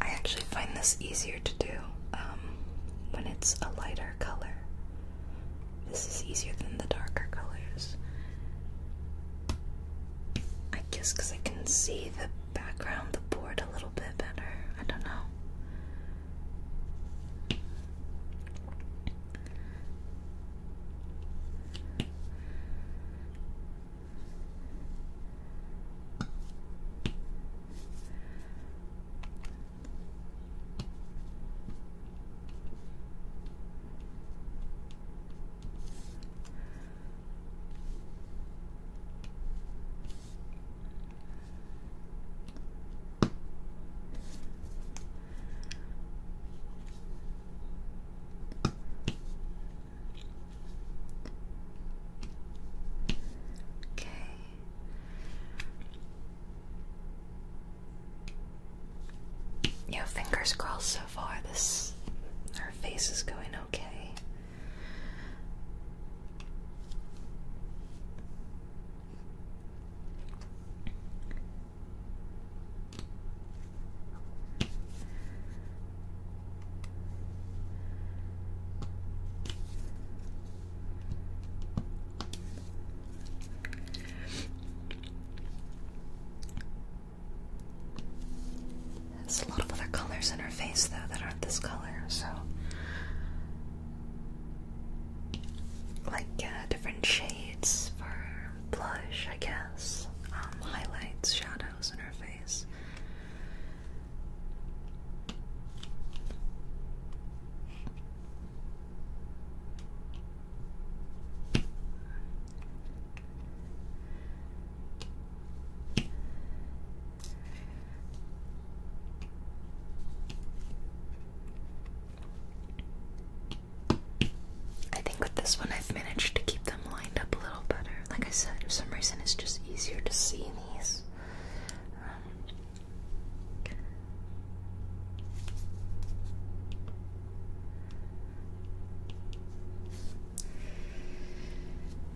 I actually find this easier to do um, when it's a lighter color. This is easier than the darker colors. I guess because I can see the background the board a little bit better. I don't know. Okay. Your fingers crossed so far. This, her face is going okay. There's a lot of other colors in her face, though, that aren't this color, so like uh, different shades for blush, I guess, um, highlights, shadows in her face. I think with this one, I've managed to keep them lined up a little better. Like I said, for some reason, it's just easier to see these. Um,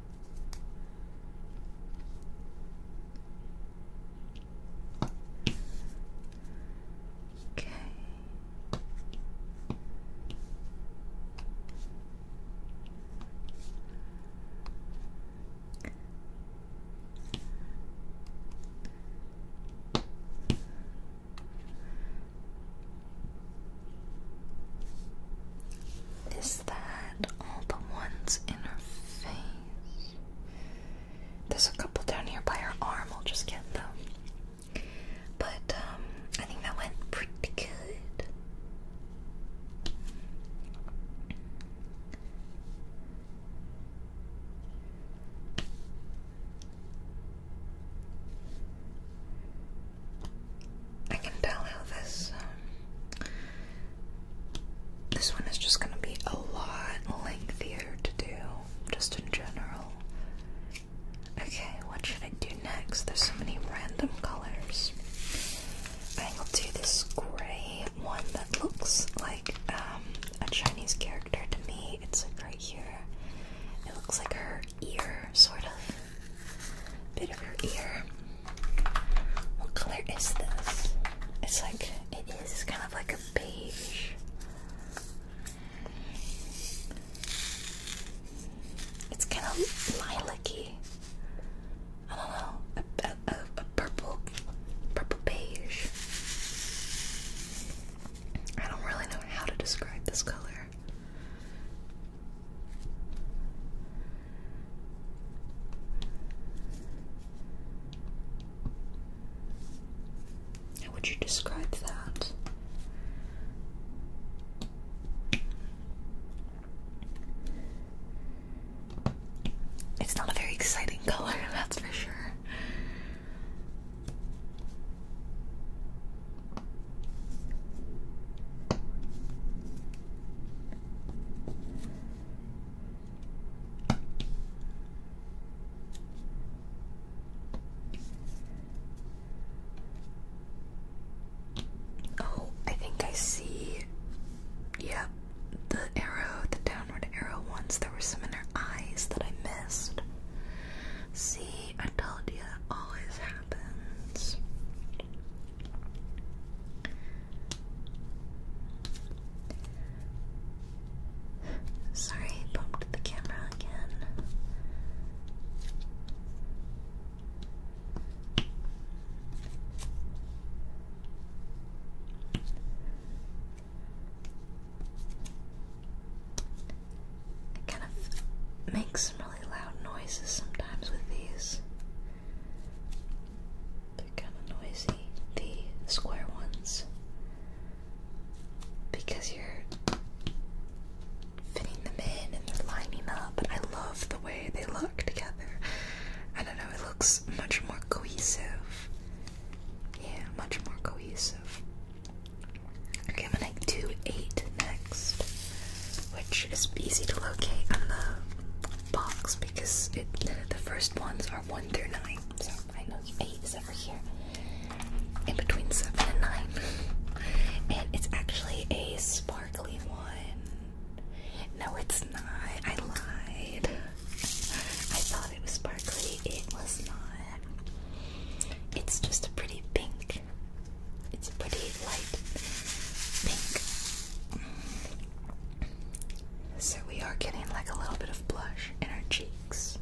Okay. Is that all the ones in her face. There's a couple down here by her arm, I'll just get them. But um, I think that went pretty good. I can tell this um, this one is just going to be a lot lengthier to do, just in general. Okay, what should I do next? There's so many random colors. I think I'll do this gray one that looks like um, a Chinese character to me. It's like right here. It looks like her ear, sort of. Bit of her ear. What color is this? It's like, it is kind of like a beige. It's kind of lilac-y. I don't know, a, a, a purple, purple beige. I don't really know how to describe this color. How would you describe that? It's not a very exciting color, that's for sure. Oh, I think I see. Yep, the arrow, the downward arrow ones. There were some in their eyes that I missed. See, I told you, that always happens. Sorry, I bumped the camera again. It kind of makes some really loud noises sometimes with these they noisy, the square ones, because you're fitting them in and they're lining up. I love the way they look together. I don't know, it looks much more cohesive. Yeah, much more cohesive. Okay, I'm gonna do eight next which is easy to locate on the box because the first ones are 1 through 9. So I know 8 is over here, in between 7 and 9. and it's actually a sparkly one. No, it's not. I lied. I thought it was sparkly. It was not. It's just a pretty pink. It's a pretty light pink. So we are getting like a little bit of blush in our cheeks.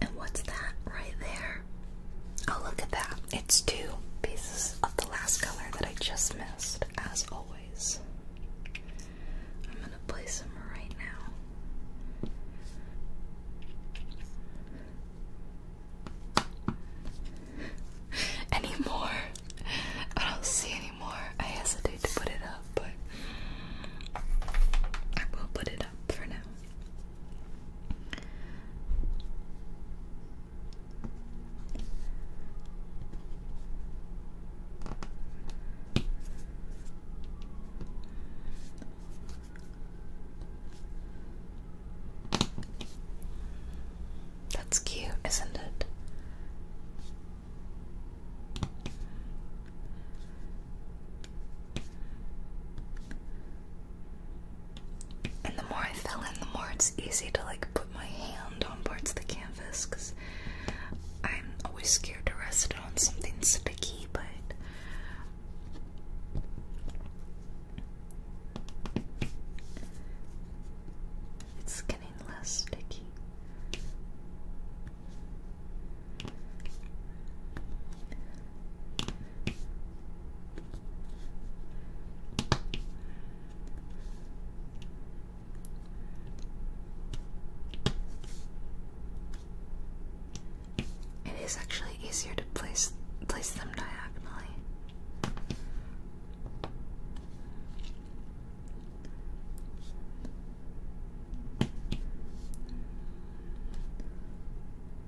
And what's that right there? Oh, look at that. It's two pieces of the last color that I just missed, as always. I'm gonna place them right now. any more? I don't see any I hesitate to put it up, but I will put it up for now. That's cute, isn't it? And the more I fill in, the more it's easy to like put my hand on parts of the canvas because I'm always scared to rest it on something sticky, but. It's getting less sticky. It is actually easier to place place them diagonally.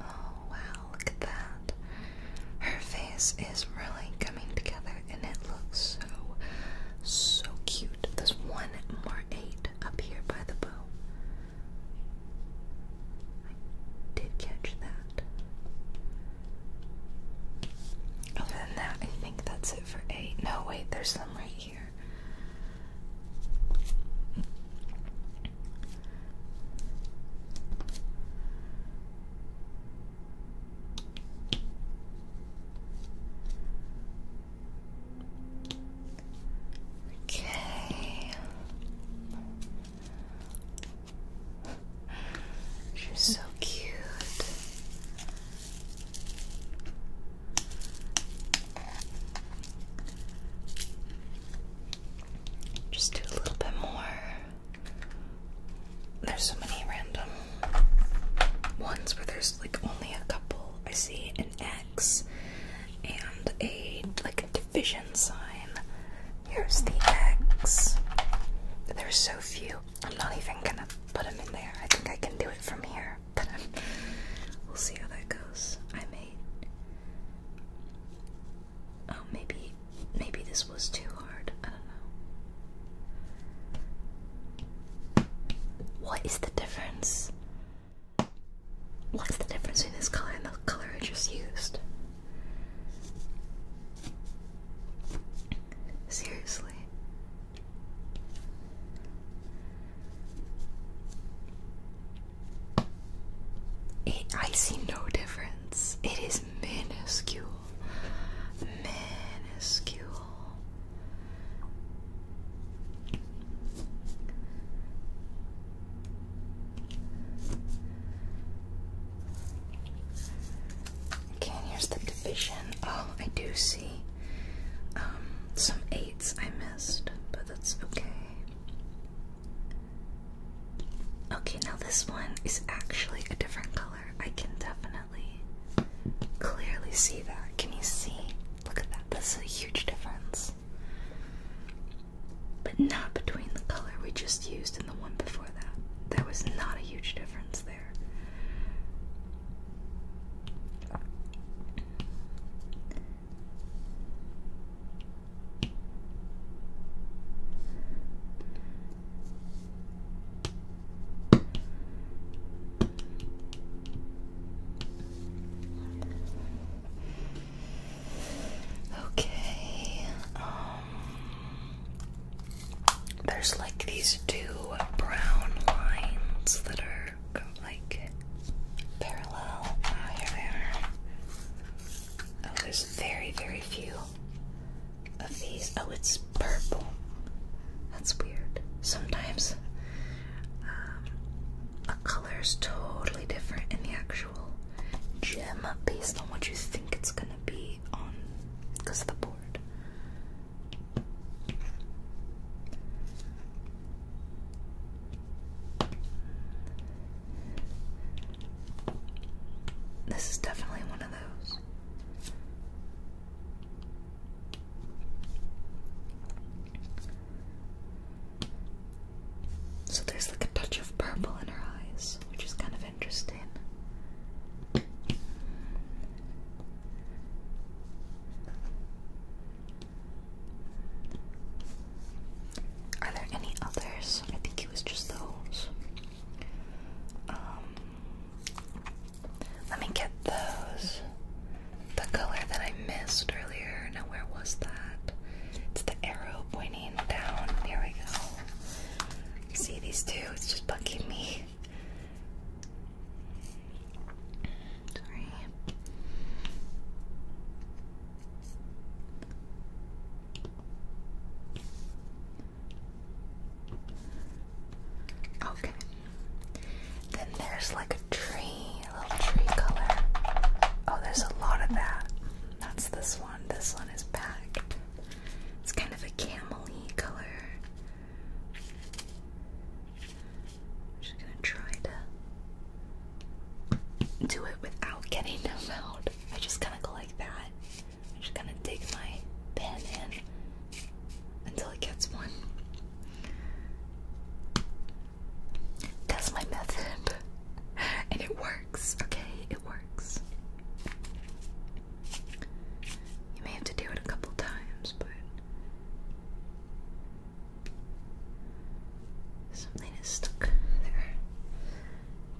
Oh wow, look at that. Her face is really coming together and it looks so, so cute. There's one more eight up here by the bow. I did catch that. Other than that, I think that's it for eight. No, wait, there's some right here. Okay. She's so cute. Just do a little bit more. There's so many random ones where there's like only a couple. I see an X and a like a division sign. Here's the X. There's so few. I'm not even gonna put them in there. I think I can do it from here. Um, we'll see how that goes. I may. Oh, maybe, maybe this was too hard. I don't know. What is the difference? What's the difference between this color and the color I just used? Seriously. I see no difference. It is minuscule. Minuscule. Okay, here's the division. Oh, I do see um, some eights I but that's okay. Okay, now this one is actually a different color. I can definitely clearly see that. Can you see? Look at that. That's a huge difference. But not between the color we just used and the one before that. There was not a huge difference there. Okay. Um there's like these two brown lines that are like parallel. Oh, here they oh, there's very, very few of these. Oh, it's purple. That's weird. Sometimes um, a color is totally different in the actual gem based on what you think it's gonna be on because of the board. This is definitely one of those. So there's like a touch of purple in her eyes, which is kind of interesting. Are there any others? I think it was just those. Um, let me get those. The color that I missed earlier. Now, where was that? It's the arrow pointing down. Here we go. See these two? It's just bugging me. Okay. Then there's like a tree, a little tree color. Oh, there's a lot of that. That's this one. This one is packed. It's kind of a camely color. I'm just gonna try to do it without getting them out. I just kinda go like that. I'm just gonna dig my pen in until it gets one. That's my method. And it works, okay? It works. You may have to do it a couple times, but Something is stuck there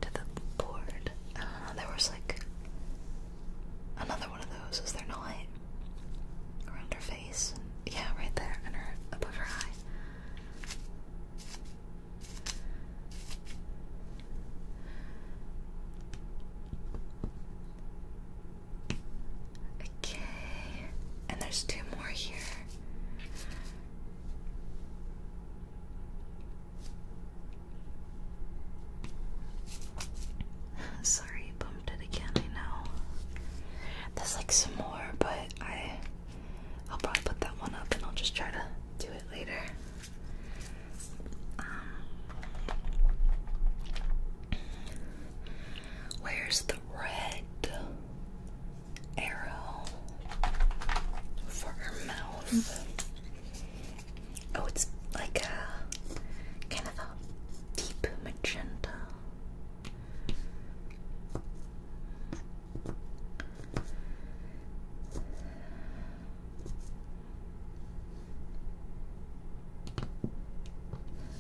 to the board. Uh, there was like another one of those. Is there not? Around her face. yeah, right there, and above her eye. Okay. And there's two more here. Sorry, bumped it again, I know. There's like some more, but I I'll probably put that one up and I'll just try to do it later. Um, Where's the red arrow for her mouth? Oh, it's like a kind of a deep magenta.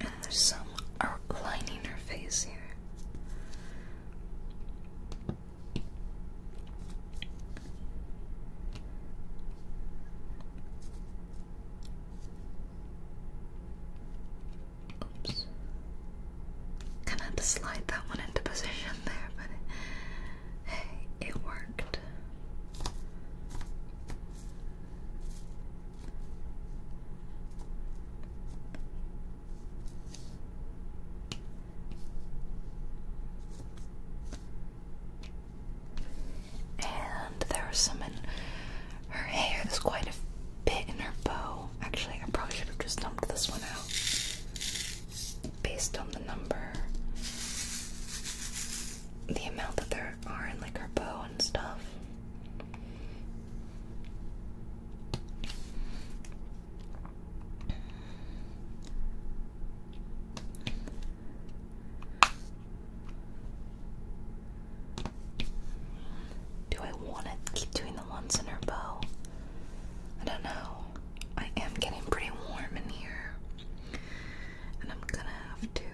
And there's some outlining her face here. Oops. Kind of slide that one into position there, but hey, it worked. And there was some in her hair. There's quite a bit in her bow. Actually, I probably should have just dumped this one out based on the number the amount that there are in like her bow and stuff. Do I want to keep doing the ones in her bow? I don't know. I am getting pretty warm in here and I'm gonna have to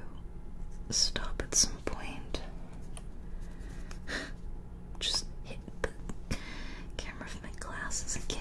stop at some point. Just hit the camera with my glasses again.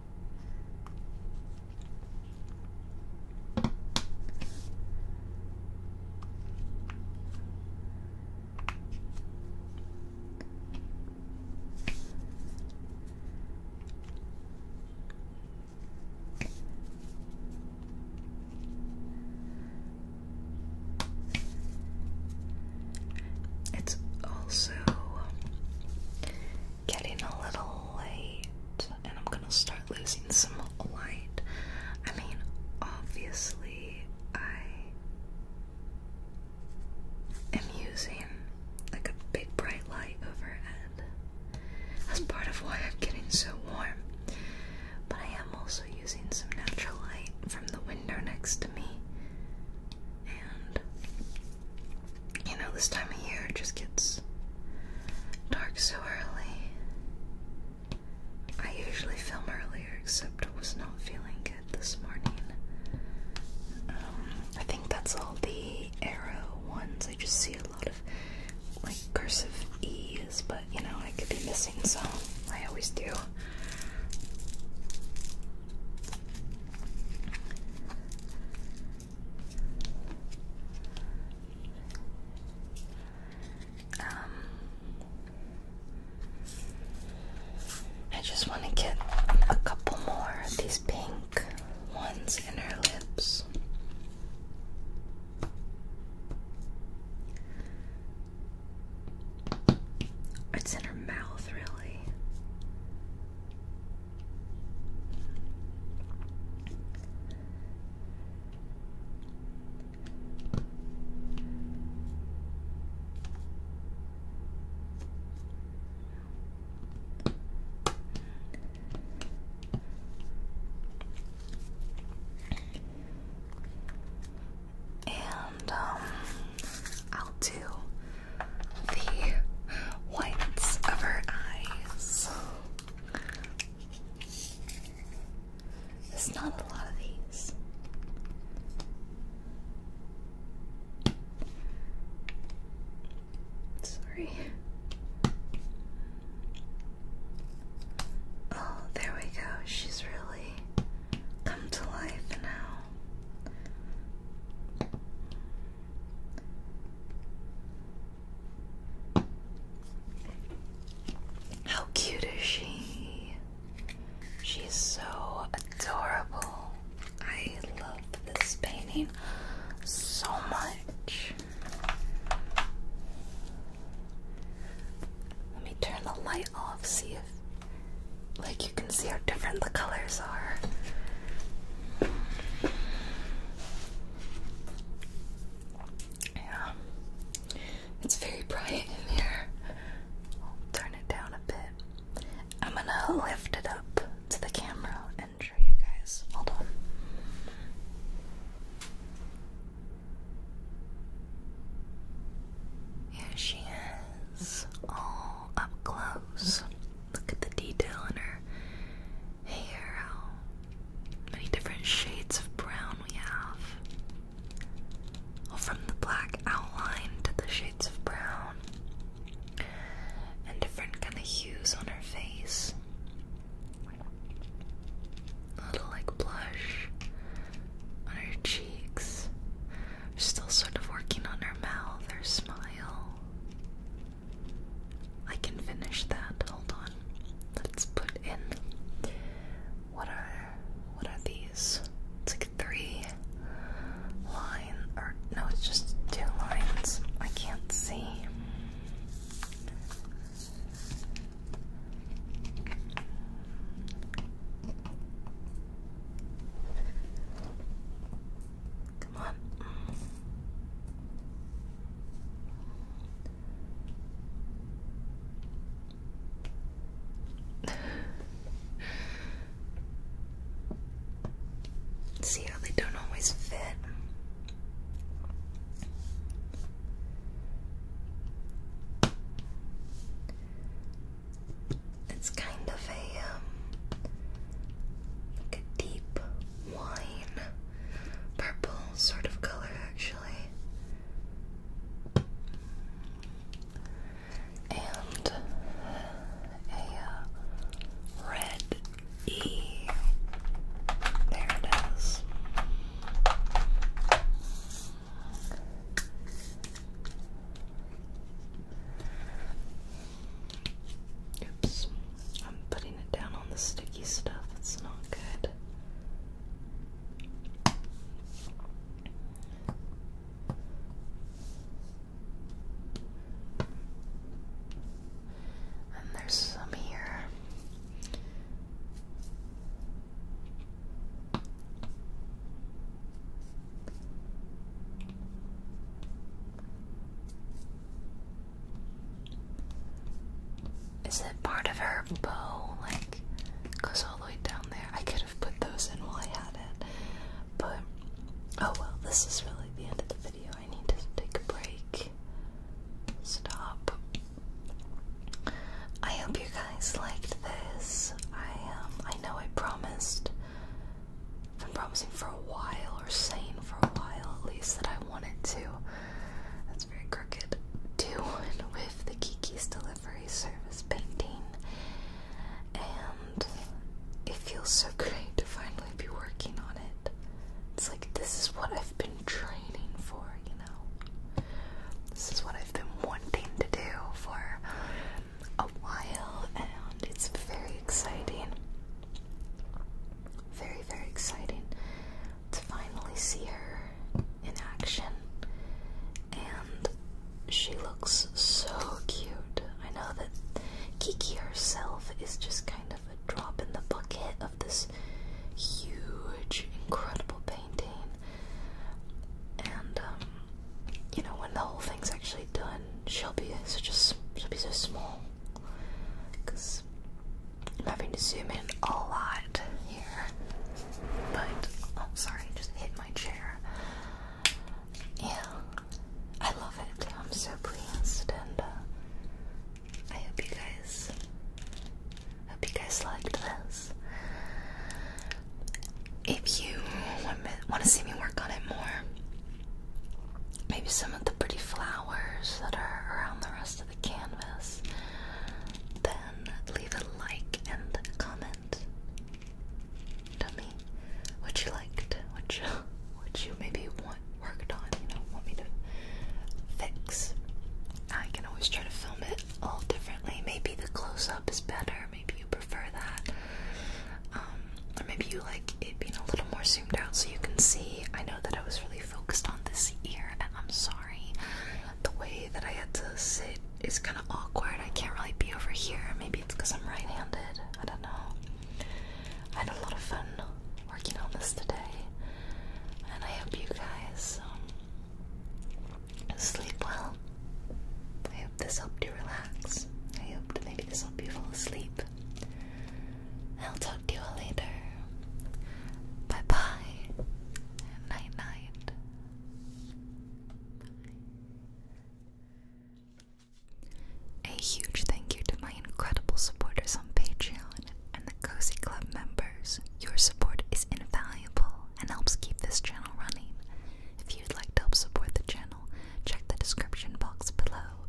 It's also getting a little late, and I'm gonna start losing some light. I mean, obviously, I am using like a big bright light overhead. That's part of why I'm getting so warm. But I am also using some natural light from the window next to me. And you know, this time of year just gets dark so early. I usually film earlier, except I was not feeling good this morning. Um, I think that's all the arrow ones. I just see a lot of like cursive E's, but you know, I could be missing some. I always do. Um, I just want to get a couple more of these pink ones in her lips. It's in her mouth, really. And um, I'll do the whites of her eyes. There's not a lot of these. Sorry. Oh, there we go. She's really come to life now. How cute is she? She's so adorable. I love this painting so much. Let me turn the light off, see if like you can see how different the colors are. Yeah. It's very bright in here. i turn it down a bit. I'm gonna lift it up to the camera and show you guys. Hold on. Here she is, all up close. Look at the detail in her hair, how many different shades of brown we have. Well, from the black outline to the shades of brown, and different kind of hues on her face. A little like blush on her cheeks. We're still sort of working on her mouth, her smile. I can finish that. Hold on. Let's put in what are what are these? It's like three line or no, it's just two lines. I can't see. Come on. See how they don't always fit. It's kind of a um, like a deep wine purple sort of color, actually. And a uh, red E. There it is. Oops. I'm putting it down on the sticky stuff, it's not good. And there's some here. Is it part of her bow? Like, goes all the way down there. I could have put those in while I had it. But, oh well, this is really the end of the video. I need to take a break. Stop. I hope you guys liked this. I um I know I promised I've been promising for a while, or saying for a while at least, that I wanted to. That's very crooked. Do with the Kiki's Delivery Service painting. And it feels so great to finally be working on it. It's like this is what I've been training for, you know? This is what I've been wanting to do for a while, and it's very exciting. Very, very exciting to finally see her in action. And she looks so cute. I know that Kiki herself is just kind of a drop in the bucket of this huge, incredible painting. And, um, you know, when the whole thing's actually done, she'll be so just she'll be so small. I'm having to zoom in a lot here. But I'm oh, sorry, just hit my chair. Yeah, I love it. I'm so pleased, and uh, I hope you guys hope you guys liked this. If you want to see me work on it more, Maybe some of the pretty flowers that are around the rest of the canvas. Then leave a like and a comment. Tell me what you liked, what you, what you maybe want worked on, you know, want me to fix. I can always try to film it all differently. Maybe the close up is better, maybe you prefer that. Um, or maybe you like it being a little more zoomed out so you can see. I know that I was really focused on this ear, and I'm sorry. The way that I had to sit is kind of awkward. I can't really be over here. Maybe it's because I'm right handed. I don't know. I had a lot of fun working on this today, and I hope you guys um, sleep well. I hope this helped you relax. I hope maybe this helped you fall asleep. I'll talk to you later. Bye bye. night night. A huge thank you to my incredible supporters on Patreon and the Cozy Club members. Your support is invaluable and helps keep this channel running. If you'd like to help support the channel, check the description box below.